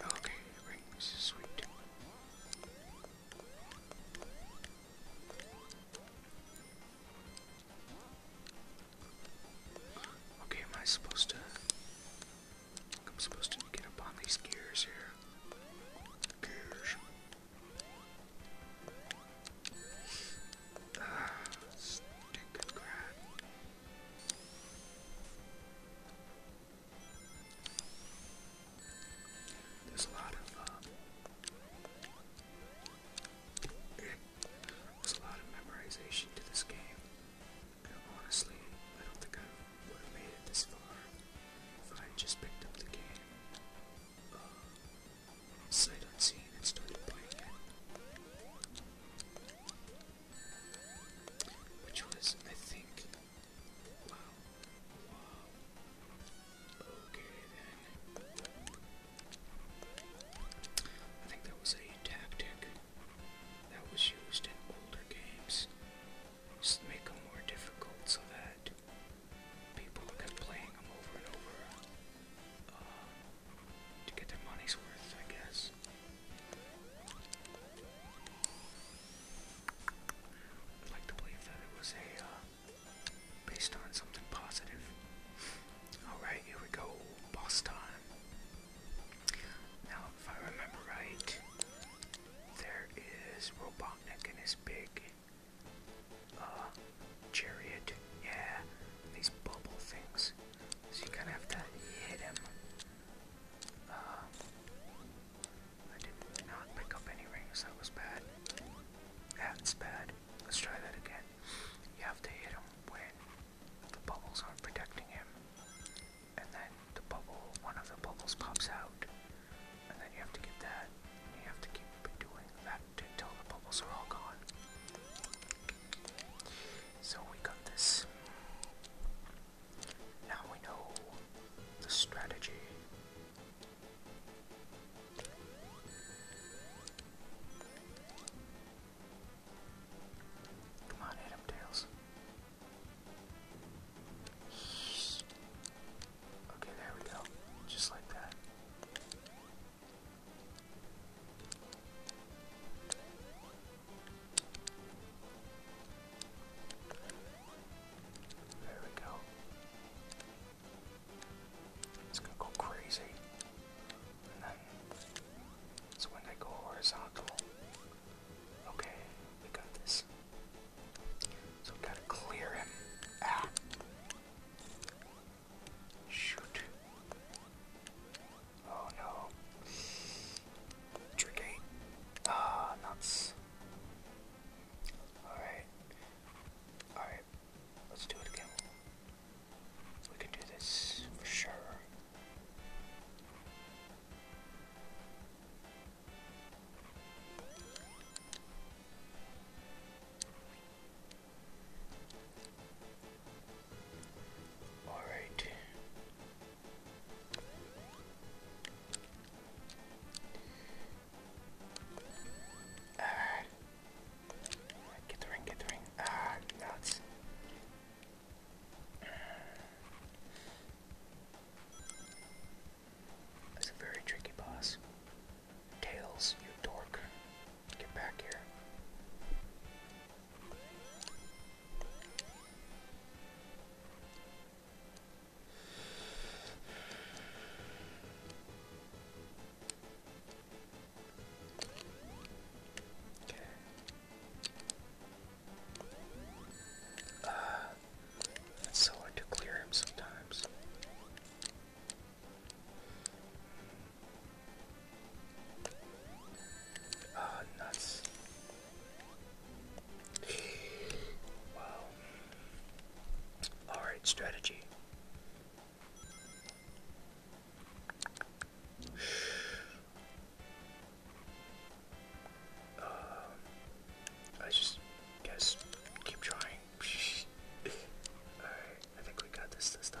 B: Okay, rings, sweet. Okay, am I supposed to? I'm supposed to get up on these gears here. Gears. Ah, stupid crap. There's a lot of, uh, there's a lot of memorization to this game. honestly, I don't think I would have made it this far if I just picked up the game. Uh, Sight unseen, it's totally blank. Which was, I think. I think that was a tactic that was used in older games. Just make them more difficult so that people kept playing them over and over to get their money's worth, I guess. I'd like to believe that it was a uh, based on something positive. Alright, here we go. Boss time. Now, if I remember right, there is Robotnik and his big uh, chariot, yeah, these bubble things. So you kind of have to hit him. Uh, I did not pick up any rings, that was bad. That's bad. Let's try that again. You have to hit him when the bubbles aren't protecting him. And then the bubble, one of the bubbles pops out. And then you have to get that. you have to keep doing that until the bubbles are all gone. So we got this. Now we know the strategy. Come on, hit Tails. Okay, there we go. Just like that.
A: There we go. It's gonna go crazy. so when they go
B: horizontal. Okay, we got this. So we gotta clear him. Ah. Shoot. Oh no. Trick Ah, nuts. Alright. Alright. Let's do it again. We can do this for sure. Alright. Ah. Get the ring, get the ring. Ah, nuts. That's a very tricky boss. Tails, you dork. Get back here.
A: Okay. Uh, it's so hard to clear him sometimes.
B: Ah, nuts. wow. Alright, strategy. Um, I just guess keep trying. Alright, I think we got this this time.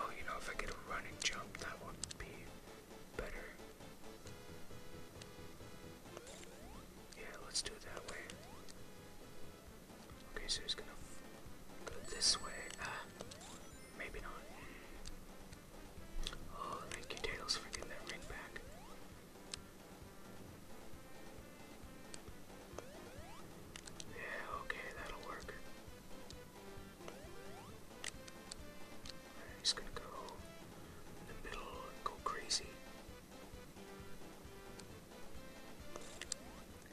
B: Oh, you know, if I could run and jump, that would be better. Yeah, let's do it that way. Okay, so he's gonna go this way. Ah, maybe not. Oh, thank you, Tails, for getting that ring back. Yeah, okay, that'll work. i gonna go in the middle go crazy.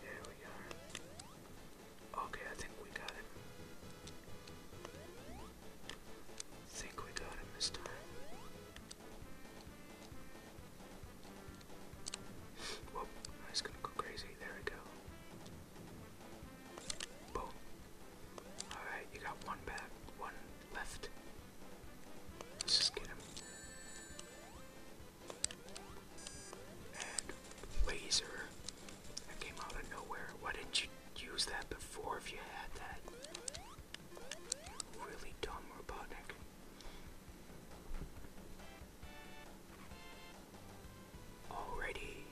B: There we are. Okay, I think we got it. Think we got him this time. Whoop, I was gonna go crazy. There we go. Boom. Alright, you got one back, one left. Let's just get him. And laser. That came out of nowhere. Why didn't you use that before if you had that? Really dumb Robotnik. Already.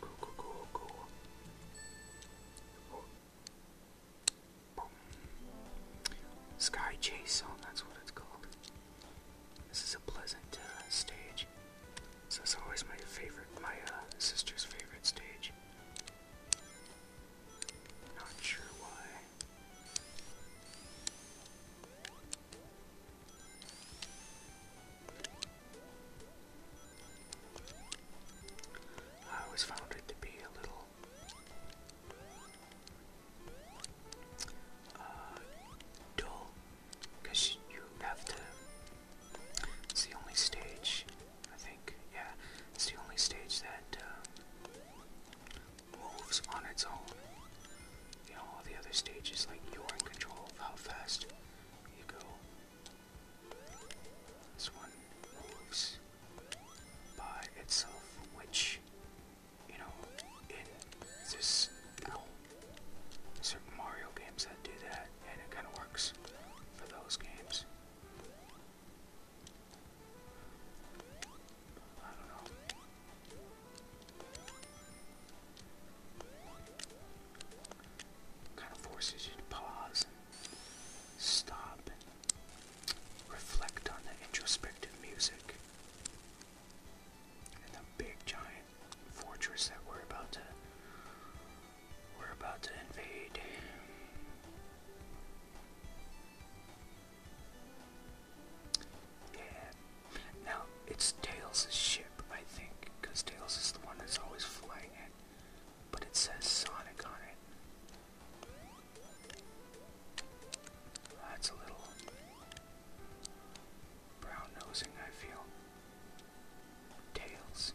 B: Cool, cool, cool, cool. Oh. Sky Chase Zone, that's what it's called. This is a pleasant uh, stage. So it's always my favorite, my uh, sister's favorite stage. Not sure why. I always found it to be a little uh, dull
A: because you have to. It's the only stage I think. Yeah, it's
B: the only stage that uh, moves on its own. You know, all the other stages, like you're in control of how fast you go. This one moves by itself, which, you know, in this certain Mario games that do that, and it kind of works for those games. Kind of forces you to pause stop reflect on the introspective music and the big giant fortress that we're about to we're about to invade. Yeah. Now, it's Tails' ship, I think, because Tails is the one that's always flying it. But it says Sonic on it. That's a little brown nosing, I feel. Tails.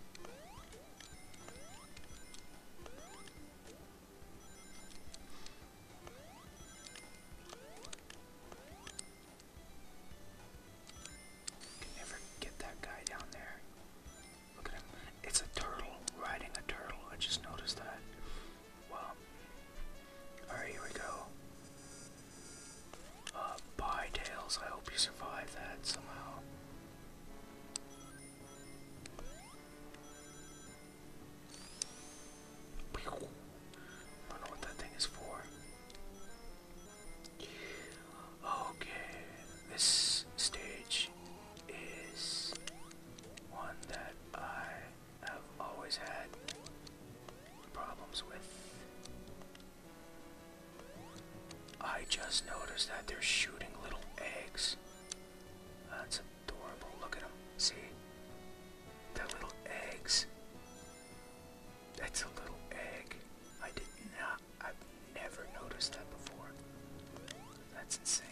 B: Can never get that guy down there. Look at him. It's a turtle riding a turtle. I just noticed that. Well, alright, here we go. Uh, bye, Tails. I hope you survive that somehow. I don't know what that thing is for. Okay, this stage is one that I have always had problems with. I just noticed that they're shooting little eggs that's adorable. Look at them. See? they little eggs. That's a little egg. I did not. I've never noticed that before. That's insane.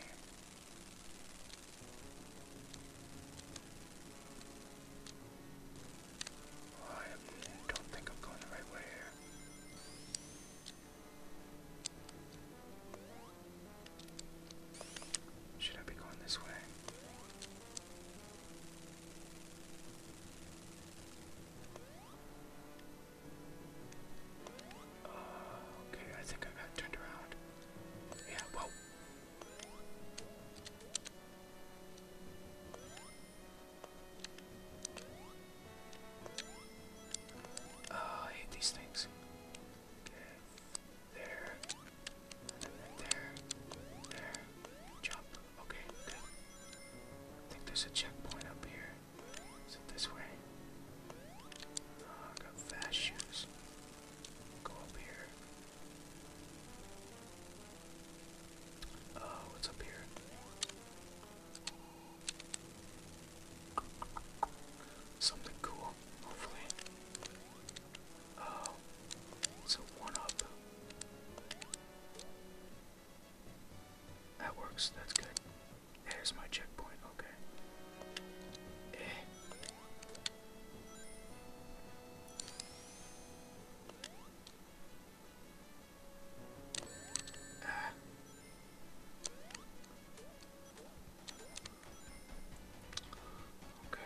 B: I don't think I'm going the right way here. Should I be going this way? Oh, okay, I think I got turned around. Yeah, Oh, I hate these things. There. There. There. Jump. Okay, good. I think there's a checkpoint up here. Is it this way? Oh, I got fast shoes. Go up here. Oh, what's up here? Something cool, hopefully. Oh, uh, it's a one up. That works, that's good. There's my checkpoint, okay. Eh. Ah. Okay.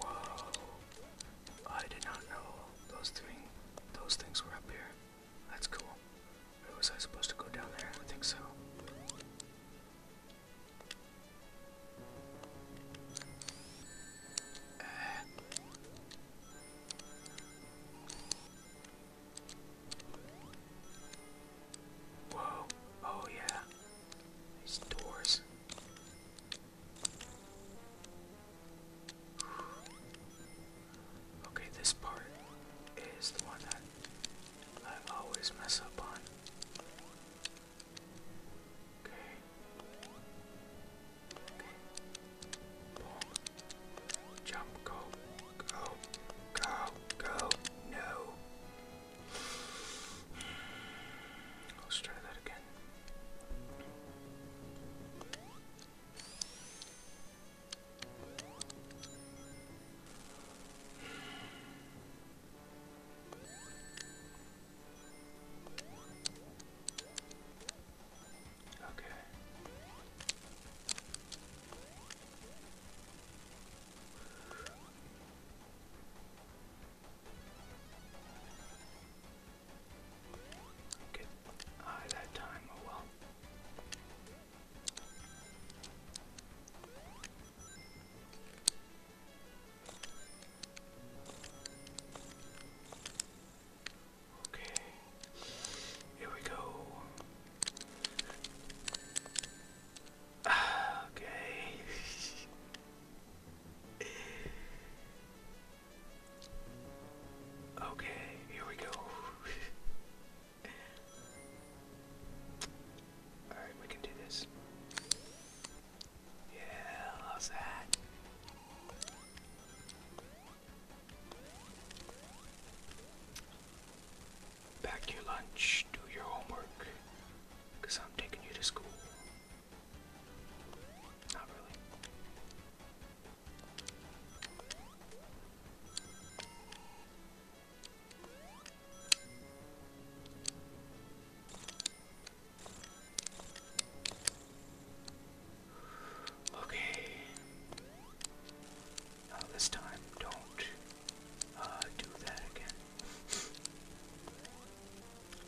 B: Whoa. I did not know those thing those things were up here. That's cool. Or was I supposed to go down there? I think so. Whoa, oh yeah, these doors.
A: Okay, this part is the one that I
B: always mess up on. Okay. Okay. Jump. Go. Go. Go. Go. No. Let's try that again. Okay. Get high ah, that time, oh well. Okay, here we go. Okay. Okay, here we go. Alright, we can do this. Yeah, how's that? Pack your lunch, do your homework, I'm taking you to school. Not really. Okay. Uh, this time, don't uh, do that again.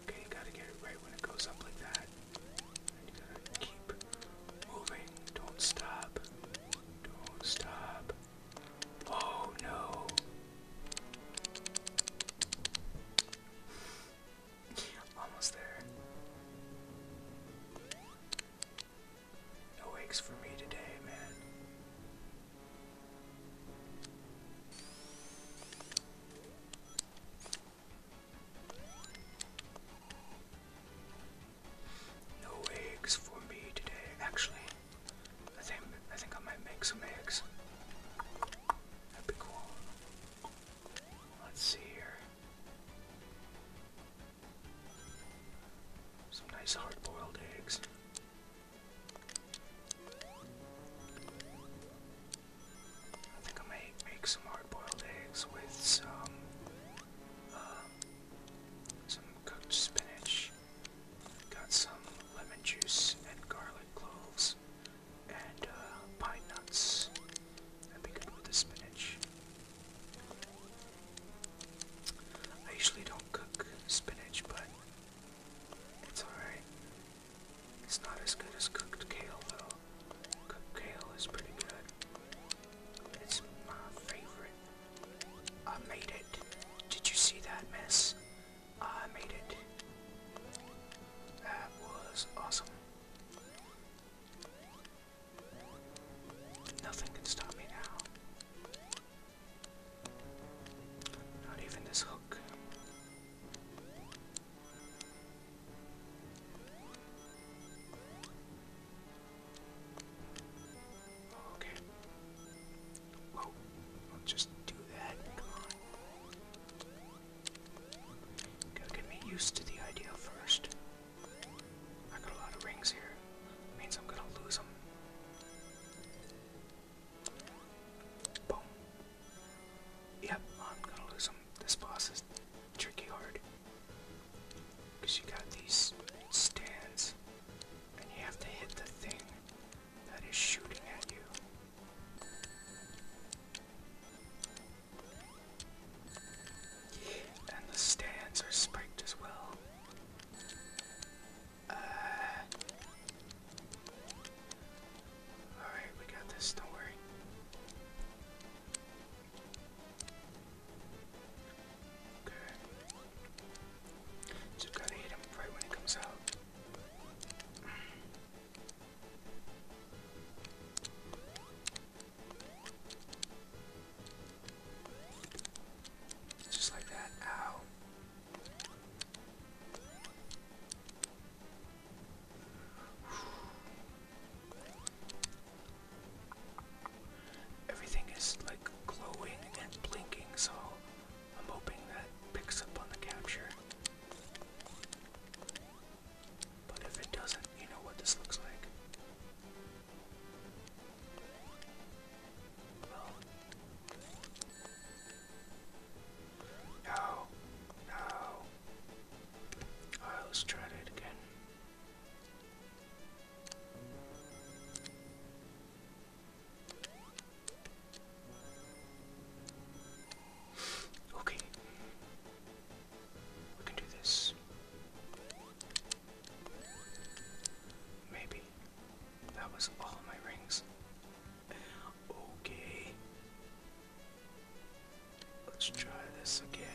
B: okay, you gotta get it right when it goes up like that. you gotta keep moving. Don't stop. Don't stop. Oh no. Almost there. No wakes for me today, man. No eggs for me today. Actually, I think I think I might make some eggs. That'd be cool. Let's see here. Some nice hard-boiled eggs. I think I might make some hard-boiled eggs with some,
A: uh, some cooked spinach Got some lemon juice and garlic cloves
B: and uh, pine nuts. That'd be good with the spinach. I usually don't cook spinach, but it's alright. It's not as good as cooked kale, though. Cooked kale is pretty good. It's my favorite. I made it. Did you see that mess? I made it. That was awesome. Nothing can stop me now. Not even this hook. Okay. Whoa, i just do that. Come on. Gotta get me used to the idea first. I got a lot of rings here. Means I'm gonna lose them. Boom. Yep, I'm gonna lose them. This boss is tricky hard. you got these stands, and you have to hit the thing that is shooting at you. And the stands are spiked as well. Uh, alright, we got this, don't worry. Okay. Just gotta hit him right when he comes out. Just like that. Ow. Everything is like glowing and blinking, so I'm hoping that picks up on the capture. But if it doesn't, you know what this looks like. Well. No. let's try it again. Okay. We can do this. Maybe. That was all my rings. Okay. Let's try this again.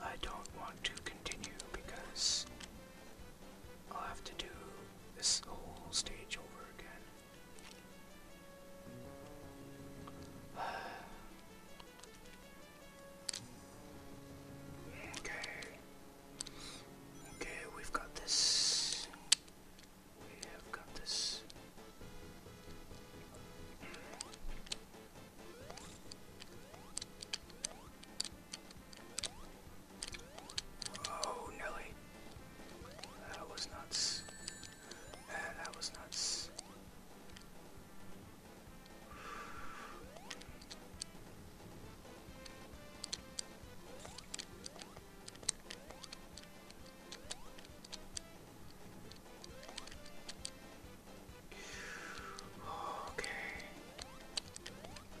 B: I don't want to continue because I'll have to do this whole stage over again. okay. Okay, we've got this. We have got this. Oh, Nelly. That was nuts. that was nuts. Okay.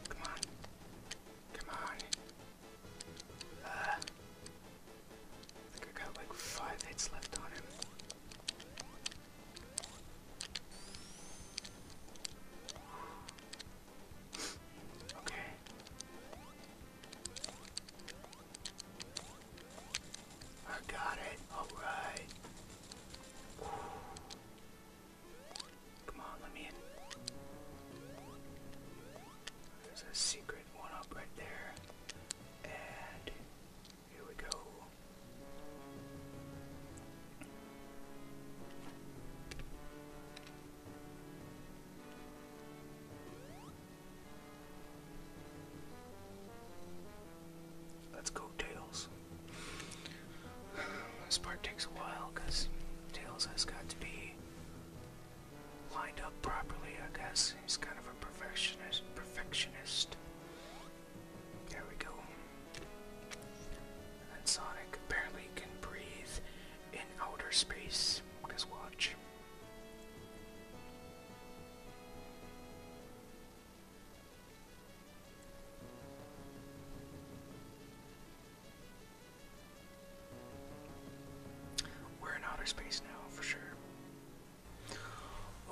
B: Come on. Come on. I think I got like five hits left on him. okay. I got it. All right. Come on, let me in. There's a secret one up right there. And here we go. Let's go, Tails. This part takes a while because Tails has got to be lined up properly, I guess. He's kind of a perfectionist. Perfectionist. There we go. And Sonic apparently can breathe in outer space. Because watch. We're in outer space now, for sure.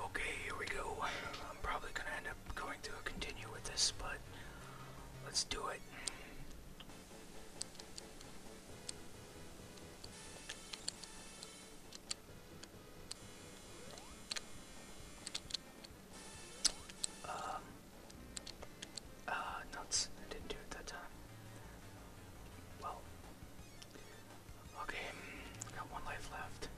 B: Okay, here we go. I'm probably gonna end up going to continue with this, but let's do it. Um, uh, nuts. I didn't do it that time. Well. Okay, mm, got one life left.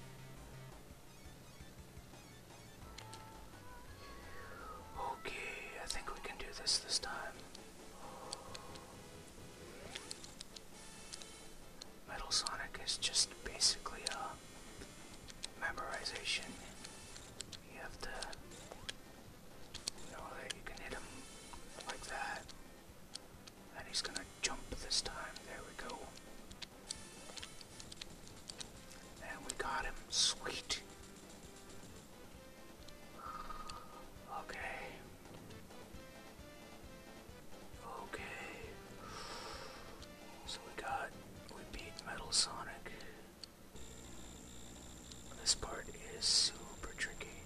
B: Okay, I think we can do this this time. Metal Sonic is just basically a memorization. You have to so you can hit him
A: like that. And he's gonna jump this time. There we go.
B: And we got him. Sweet. Okay. Okay. So we got we beat Metal Sonic. This part is super tricky.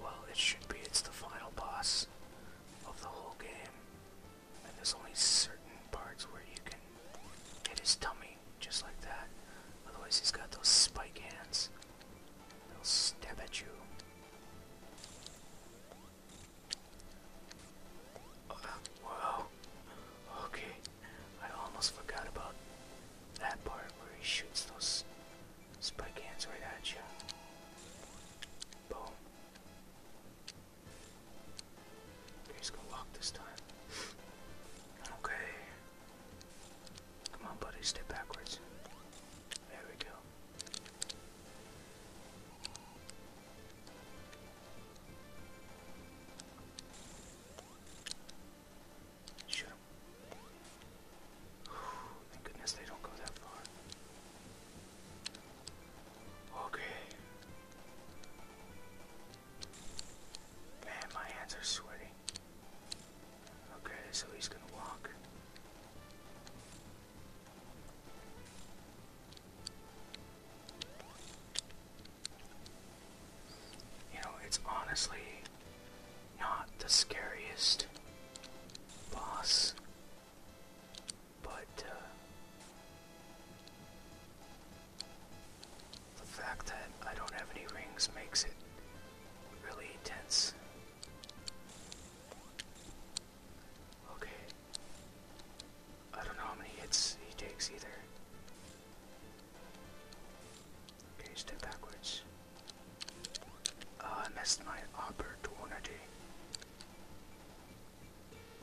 B: Well, it should be. It's the final boss of the whole game. And there's only certain parts where you can hit his tummy just like that. Otherwise, he's got those spike hands. They'll stab at you. Uh, Okay. I almost forgot about that part where he shoots those spike hands right at you. Boom. He's gonna walk this time. Okay. Come on, buddy, step backwards. There we go. Shoot him. Thank goodness they don't go that far. Okay. Man, my hands are sweaty. Okay, so he's gonna walk. You know, it's honestly not the scariest boss, but uh, the fact that I don't have any rings makes it really intense. Okay. I don't know how many hits he takes either. Okay, step backwards. Ah, I missed my opportunity.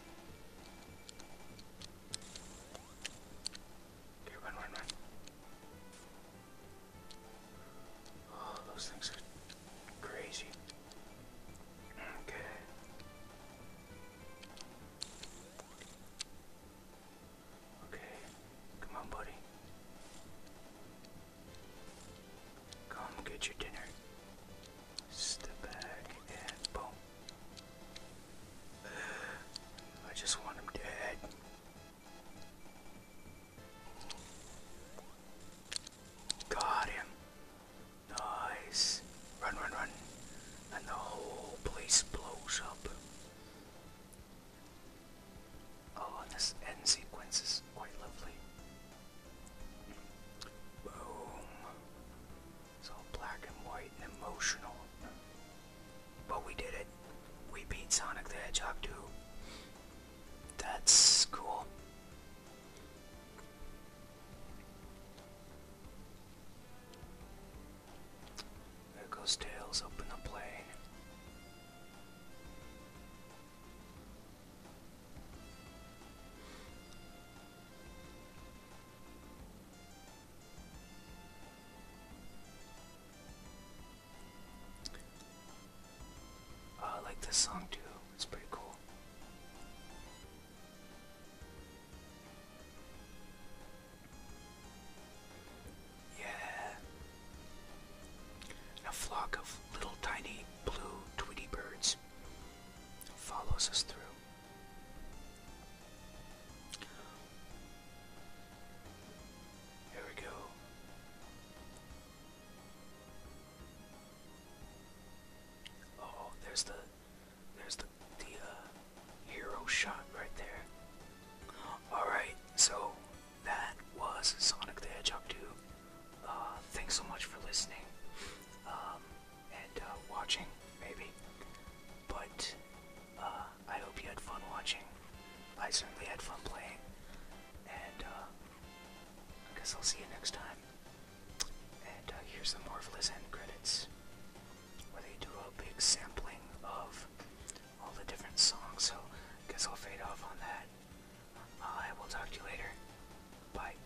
B: Okay, Oh, those things are crazy. Okay. Okay, come on, buddy. Come get your dinner. Step back and boom. I just want him dead. Got him. Nice. Run, run, run and the whole place blows up. Oh, and this end sequence is quite lovely. Boom. It's all black and white and emotional. But we did it. We beat Sonic the Hedgehog 2. That's cool. There goes Tails, open the plane. Oh, I like this song too, it's pretty cool. Yeah. A flock of little tiny blue Tweety birds follows us through. Here we go. Oh, there's the there's the, the uh, hero shot right there. Alright, so that was Sonic the Hedgehog 2. Uh, thanks so much for listening um, and uh, watching, maybe. But I hope you had fun watching. I certainly had fun playing. And uh, I guess I'll see you next time. And uh, here's the Marvelous end credits where they do a big sampling of all the different songs. So I guess I'll fade off on that. Uh, I will talk to you later. Bye.